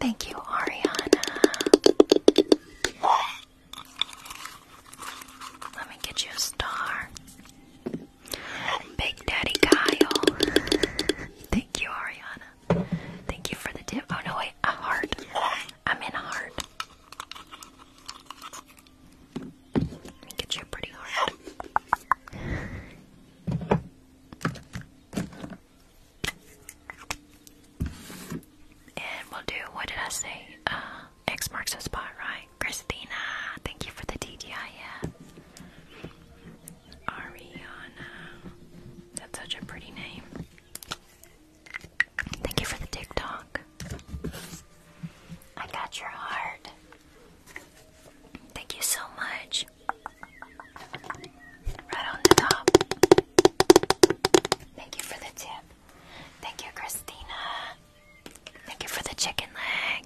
Thank you, Ariana. Let me get you a star. Big Daddy Kyle. Thank you, Ariana. Thank you for the tip. Oh no, wait, a heart. I'm in a heart get you pretty hard. and we'll do, what did I say? Uh, X marks the spot, right? Christina, thank you for the DDI. Ariana, that's such a pretty name. Thank you for the TikTok. I got your heart. Thank you so much. Right on the top. Thank you for the tip. Thank you, Christina. Thank you for the chicken leg.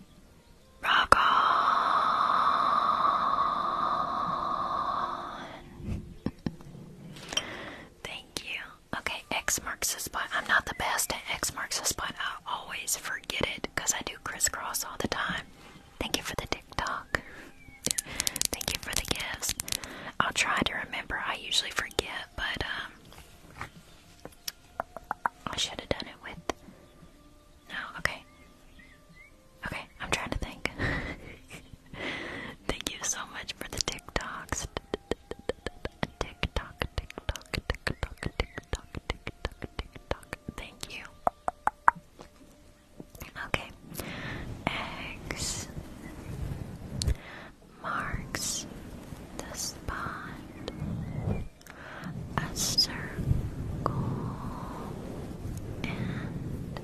Rock on. (laughs) Thank you. Okay, X marks the spot. I'm not the best at X marks the spot. I always forget it because I do crisscross all the time. Thank you for the TikTok. Thank you for the gifts. I'll try to remember. I usually forget, but um, I should have done it with. No, okay. Okay, I'm trying to think. (laughs) Thank you so much for the TikToks. TikTok, TikTok, TikTok, TikTok, TikTok, TikTok. Thank you. Okay. X marks the spot. A circle and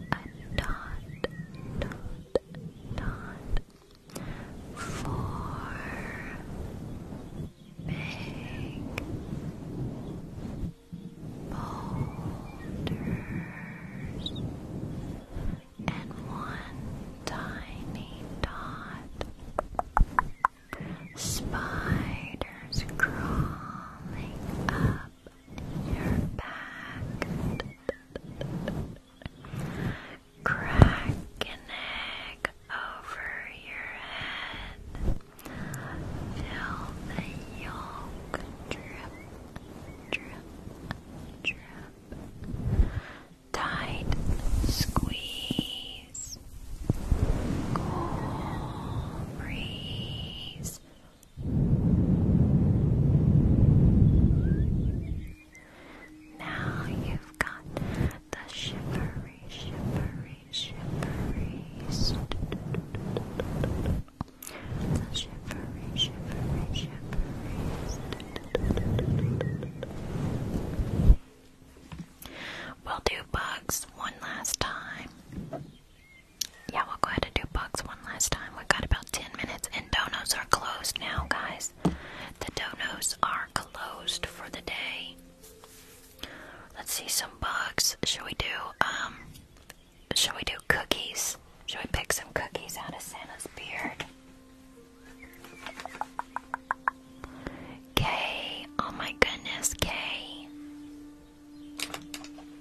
a dot, dot, dot four big boulders and one tiny dot. Spiders crawling up your back. Crack an egg over your head. Fill the yolk drip, drip, drip. Tight squeeze. Cool breeze. Now you've got the shivery, shivery, shivery. The shivery, shivery, shivery. We'll do bugs one last time. Yeah, we'll go ahead and do bugs one last time. We've got about 10 minutes, and donuts are closed now, guys. The donos are closed for the day. Let's see some bugs. Should we do um should we do cookies? Should we pick some cookies out of Santa's beard? Kay, oh my goodness, Kay.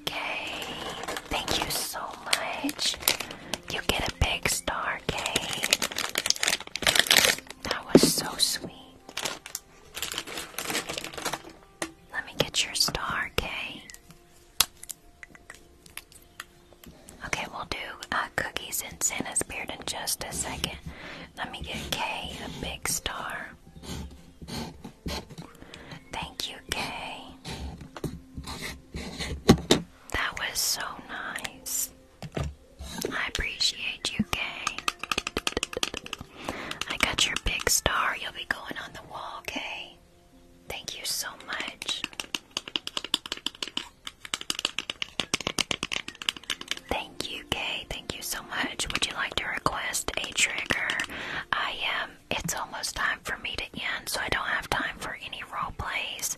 Kay, thank you so much. You get a big star, K. That was so sweet. Let me get your star, K. Okay, we'll do uh, cookies and Santa's beard in just a second. Let me get K a big star. Thank you, K. That was so nice. I appreciate you, Kay. I got your big star. You'll be going on the wall, Kay. Thank you so much. Thank you, Kay. Thank you so much. Would you like to request a trigger? I am. it's almost time for me to end, so I don't have time for any role plays.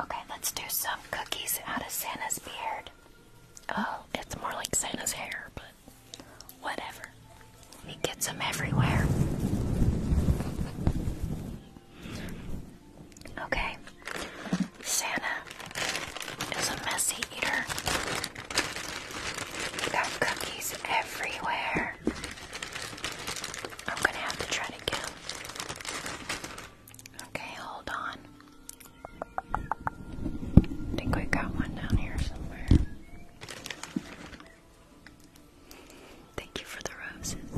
Okay, let's do some cookies out of Santa's beard. Oh, it's more like Santa's hair, but whatever. He gets them everywhere. Okay, Santa is a messy eater. You got cookies everywhere. I'm gonna have to try to count. Okay, hold on. I think we got one down here somewhere. Thank you for the roses.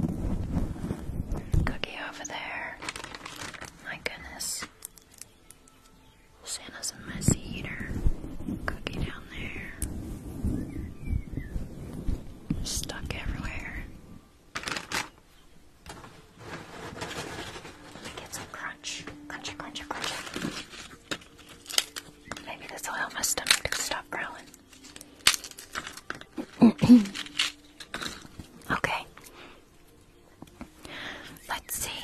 Cookie over there. My goodness. Santa's a messy eater. Cookie down there. Stuck everywhere. Get some crunch. Crunchy, crunchy, crunchy. Maybe this will help my stomach to stop growling. (clears throat) okay. Let's see.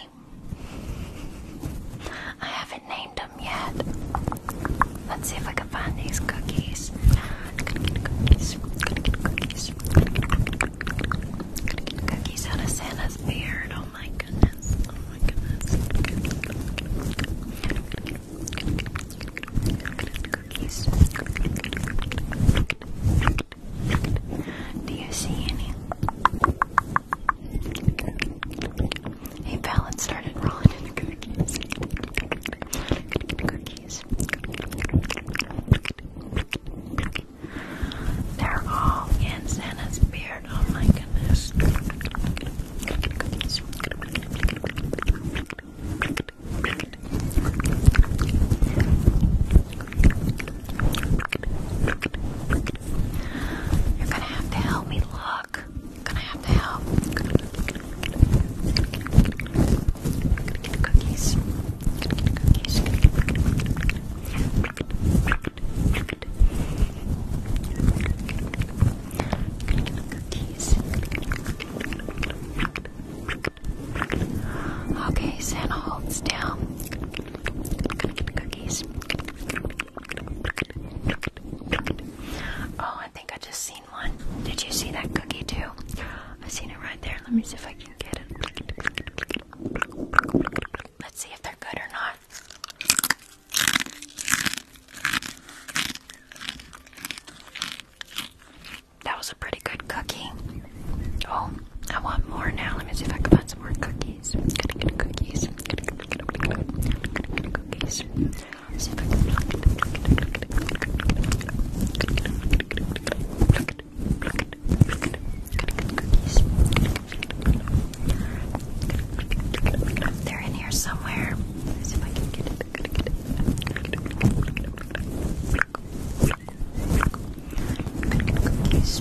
I haven't named them yet. Let's see if I can find these cookies. Cookies out of Santa's beard. Oh my goodness. Oh my goodness. Do you see any? Hey, Pallet started rolling in cookies. Cookies. They're all in Santa's beard. Oh my goodness. You're gonna have to help me look. gonna have to help. We're gonna get cookies. Gonna get cookies. cookies. Okay, Santa, hold still. Oh, I think I just seen one. Did you see that cookie too? I seen it right there. Let me see if I Let's see if they're good or not. That was a pretty good cookie. Oh, I want more now. Let me see if I can find some more cookies cookies. They're in here somewhere. Let's see if I can get it. Cookies.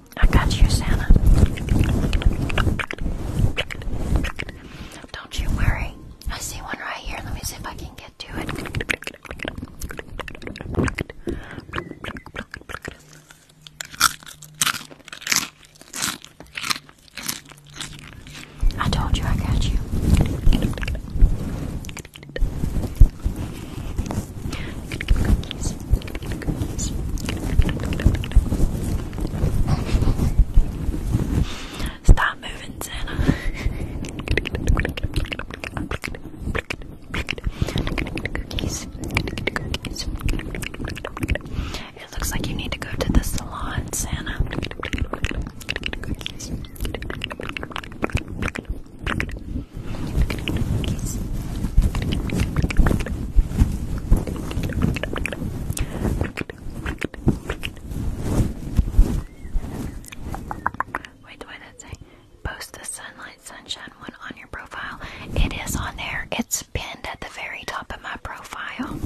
I got you, Santa. Don't you worry. I see one right here. Let me see if I can get to it. I told you I got you cookies. cookies. Stop moving, Santa. cookies. cookies. It looks like you need to go to the salon, Santa. Cookies. Cookies. Wait, what did it say? Post the sunlight sunshine one on your profile. It is on there. It's pinned at the very top of my profile.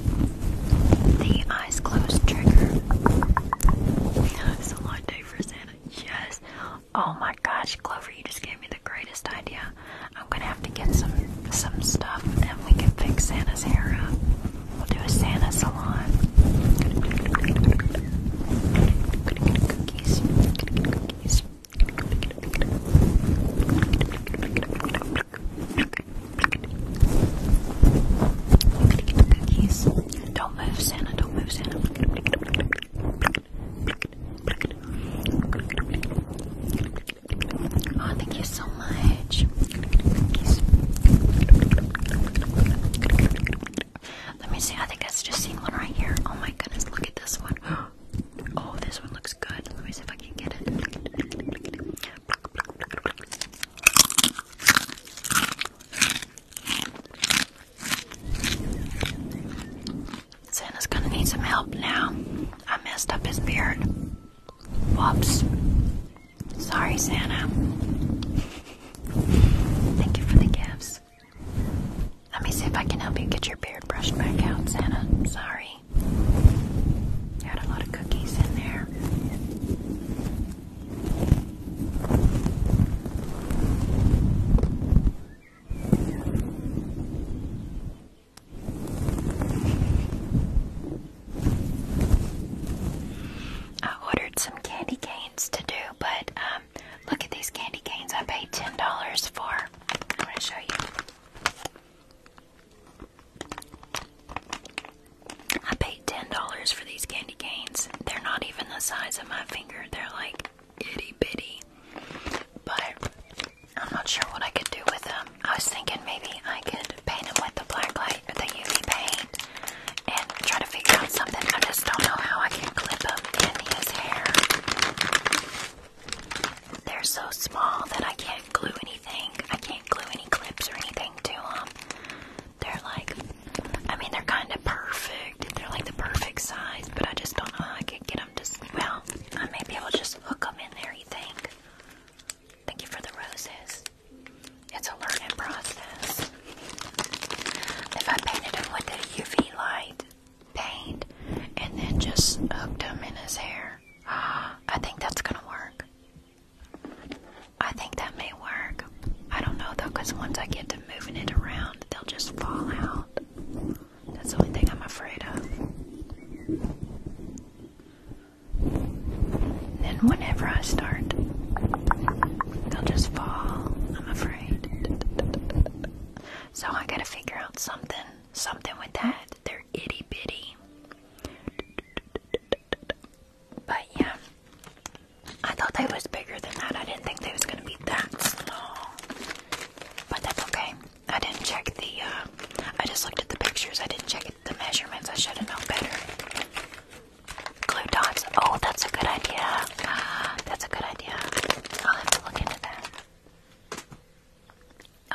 The eyes closed trigger. (laughs) It's a long day for Santa. Yes. Oh my gosh, Clover, you just gave me greatest idea. I'm gonna have to get some some stuff and we can fix Santa's hair up. We'll do a Santa salon. Cookies. Cookies. Don't move, Santa. Don't move, Santa. Oh, thank you so much. Let me see. I think that's just seeing one right here. Oh my goodness, look at this one. (gasps) Oh, this one looks good. Let me see if I can get it. Santa's gonna need some help now. I messed up his beard. Whoops. Sorry, Santa. Thank you for the gifts. Let me see if I can help you get your beard brushed back out, Santa. Sorry. You had a lot of cookies in there. I ordered some candy canes to do, but um, look at these candy canes I paid $10 for. I'm going to show you. I paid $10 for these candy canes. They're not even the size of my finger, they're like itty bitty. But I'm not sure what I could do with them. I was thinking maybe I could paint them with the black light or the UV paint and try to figure out something. I just don't know how I can clip up in hair. They're so small that I can't glue anything. I can't glue any clips or anything to them. They're like, I mean, they're kind of perfect. They're like the perfect size, but I just don't know how I could get them to, well, uh, maybe I'll just hook them in there, you think? Thank you for the roses. It's a learning process. If I painted him with a UV light paint and then just hooked him in his hair, ah, (gasps) I think that's gonna work. I think that may work. I don't know though, because once I get to moving it around, they'll just fall out. That's the only thing I'm afraid of. And then whenever I start, they'll just fall, I'm afraid. So I gotta figure out something, something with that. They're itty bitty. But yeah, I thought they was bigger than that. I didn't think they was gonna be that small. But that's okay. I didn't check the, uh, I just looked at the pictures. I didn't check the measurements. I should have known better. Glue dots. Oh, that's a good idea. Ah, that's a good idea. I'll have to look into that.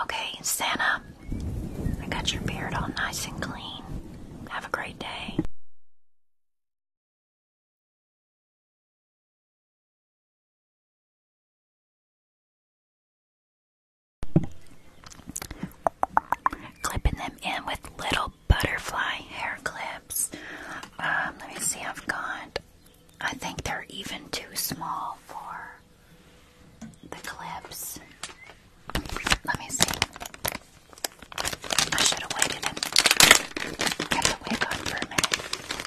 Okay, Santa, I got your beard all nice and clean. Have a great day. Clipping them in with little butterfly hair clips. Um, let me see, I've got, I think they're even too small for the clips. Let me see. I should have waited and kept the wig on for a minute.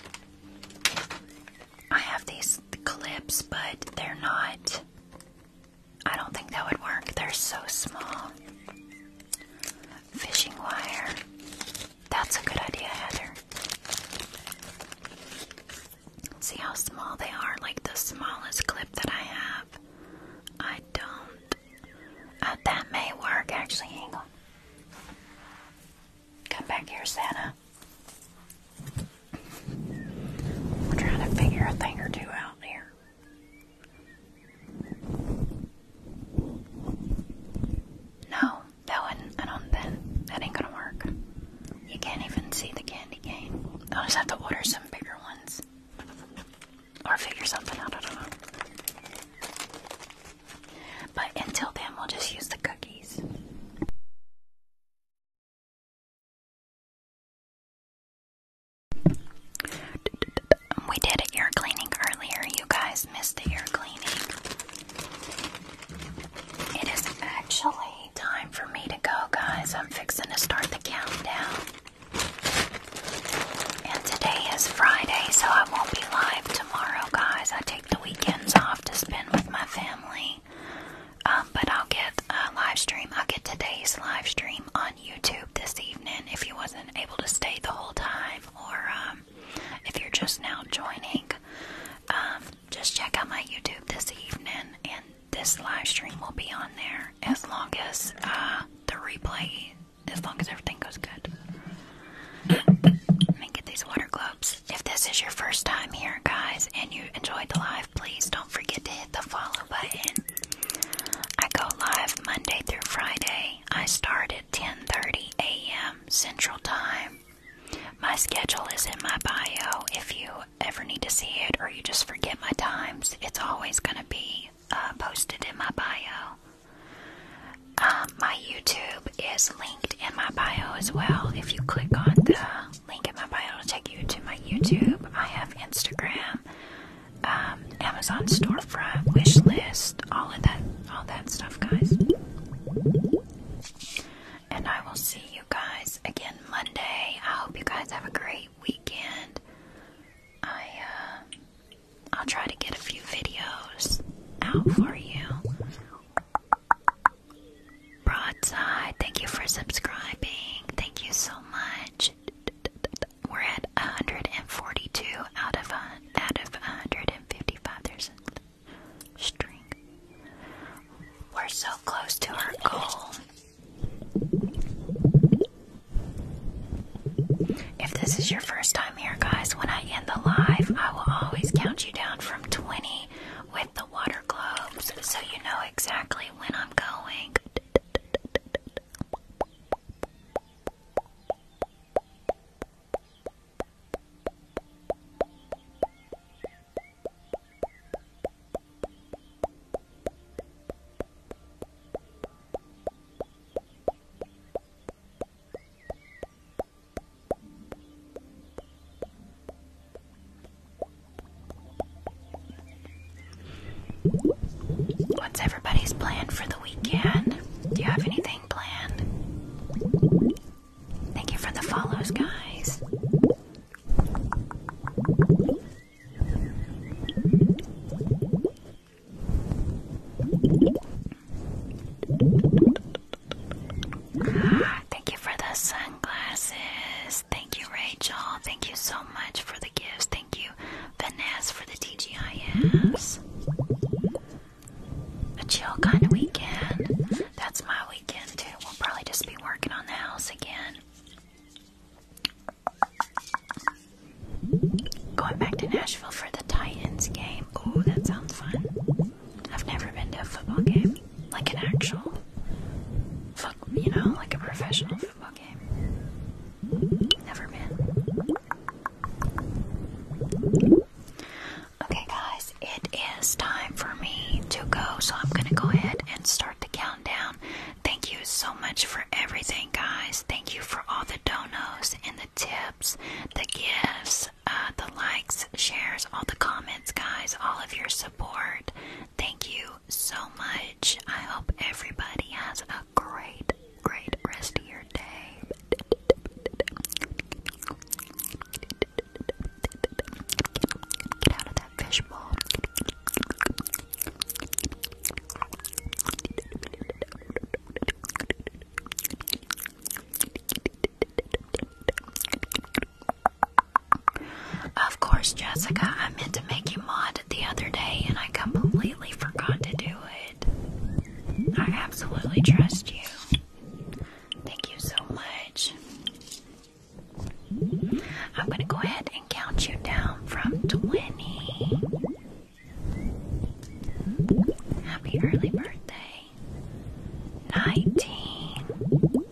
I have these clips, but they're not. I don't think that would work. They're so small. Fishing wire. That's a good idea, Heather. See how small they are? Like the smallest clip that I have. I don't. Uh, that may work, actually. Hang Come back here, Santa. We're trying to figure a thing or two out here. No, that one I don't. think that ain't gonna work. You can't even see the candy cane. I'll just have to order some bigger ones, or figure something out. I don't know. But until then, we'll just use the cookies. We did ear cleaning earlier. You guys missed the ear cleaning. It is actually time for me to go, guys. I'm fixing to start the countdown. And today is Friday, so I won't be live tomorrow, guys. I take the weekends off to spend with my family. Um, but I'll get a live stream. I'll get today's live stream on YouTube this evening if you wasn't able to stay the whole time or um, if you're just now joining. Um, just check out my YouTube this evening and this live stream will be on there as long as uh, the replay, as long as everything goes good. Let me get these water gloves if this is your first time here, guys, and you enjoyed the live, please don't forget to hit the follow button. I go live Monday through Friday. I start at 10:30 a.m. Central Time. My schedule is in my bio. If you ever need to see it or you just forget my times, it's always going to be uh, posted in my bio. Um, my YouTube is linked in my bio as well. If you click on the link in my bio will take you to my YouTube. I have Instagram, um, Amazon storefront, wish list, all of that, all that stuff, guys. And I will see you guys again Monday. I hope you guys have a great weekend. I uh, I'll try to get a few videos out for you. Broadside, thank you for subscribing. Thank you so much. We're at 142 out of a, out of 155. string. We're so close to our goal. If this is your first time here, guys, when I end the live, I will always count you down from 20 with the watermelon so you know exactly when I'm going. What's everybody's plan for the weekend? Do you have anything planned? Thank you for the follows, guys. Ah, thank you for the sun, sunglasses. Thank you, Rachel. Thank you so much for the gifts. Thank you, Vanessa, for the TGIFs. A chill kind of weekend. That's my weekend, too. We'll probably just be working on the house again. Going back to Nashville for the Titans game. Oh, that sounds fun. I've never been to a football game like an actual, fuck you know, like a professional football game. Never been. Okay, guys, it is time for me to go, so I'm gonna go ahead and start the countdown. Thank you so much for everything, guys. Thank you for all the donos and the tips, the gifts, uh, the likes, shares, all the comments, guys, all of your support. Thank you so much. I hope everybody has a great, great rest of your day. Get out of that fishbowl. Of course, Jessica, I meant to make you mod the other day and I completely forgot to do it. I absolutely trust you. Thank you so much. I'm going to go ahead and count you down from 20. Happy early birthday. 19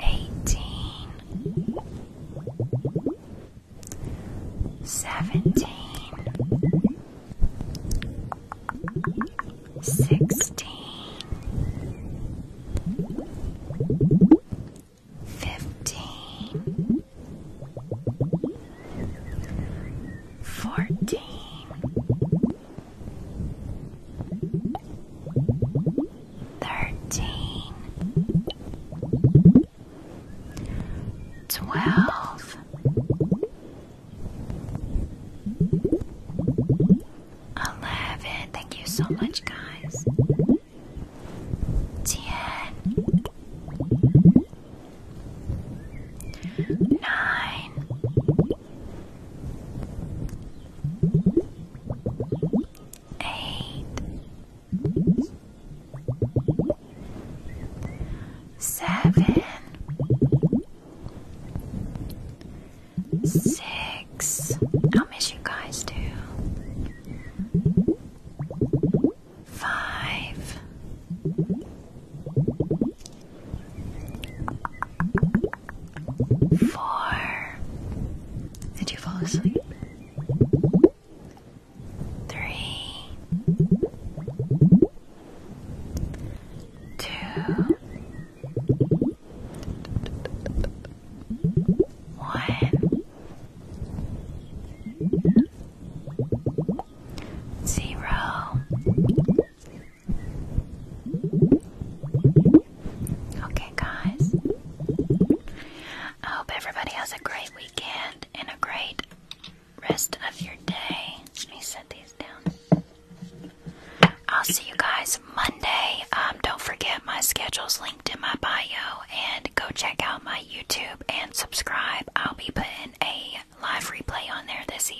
eighteen, seventeen, sixteen, fifteen, fourteen thirteen, twelve, eleven. Thank you so much, guys. Ten, nine eight, seven, six. I'll miss you guys too. Five. Four. Did you fall asleep? Three. Two. One. Zero. Okay, guys. I hope everybody has a great weekend and a great rest of your day. Let me set these down. I'll see you guys Monday. Um, don't forget my schedule's linked in my bio, and go check out my YouTube and subscribe. I'll be putting a live replay on there this evening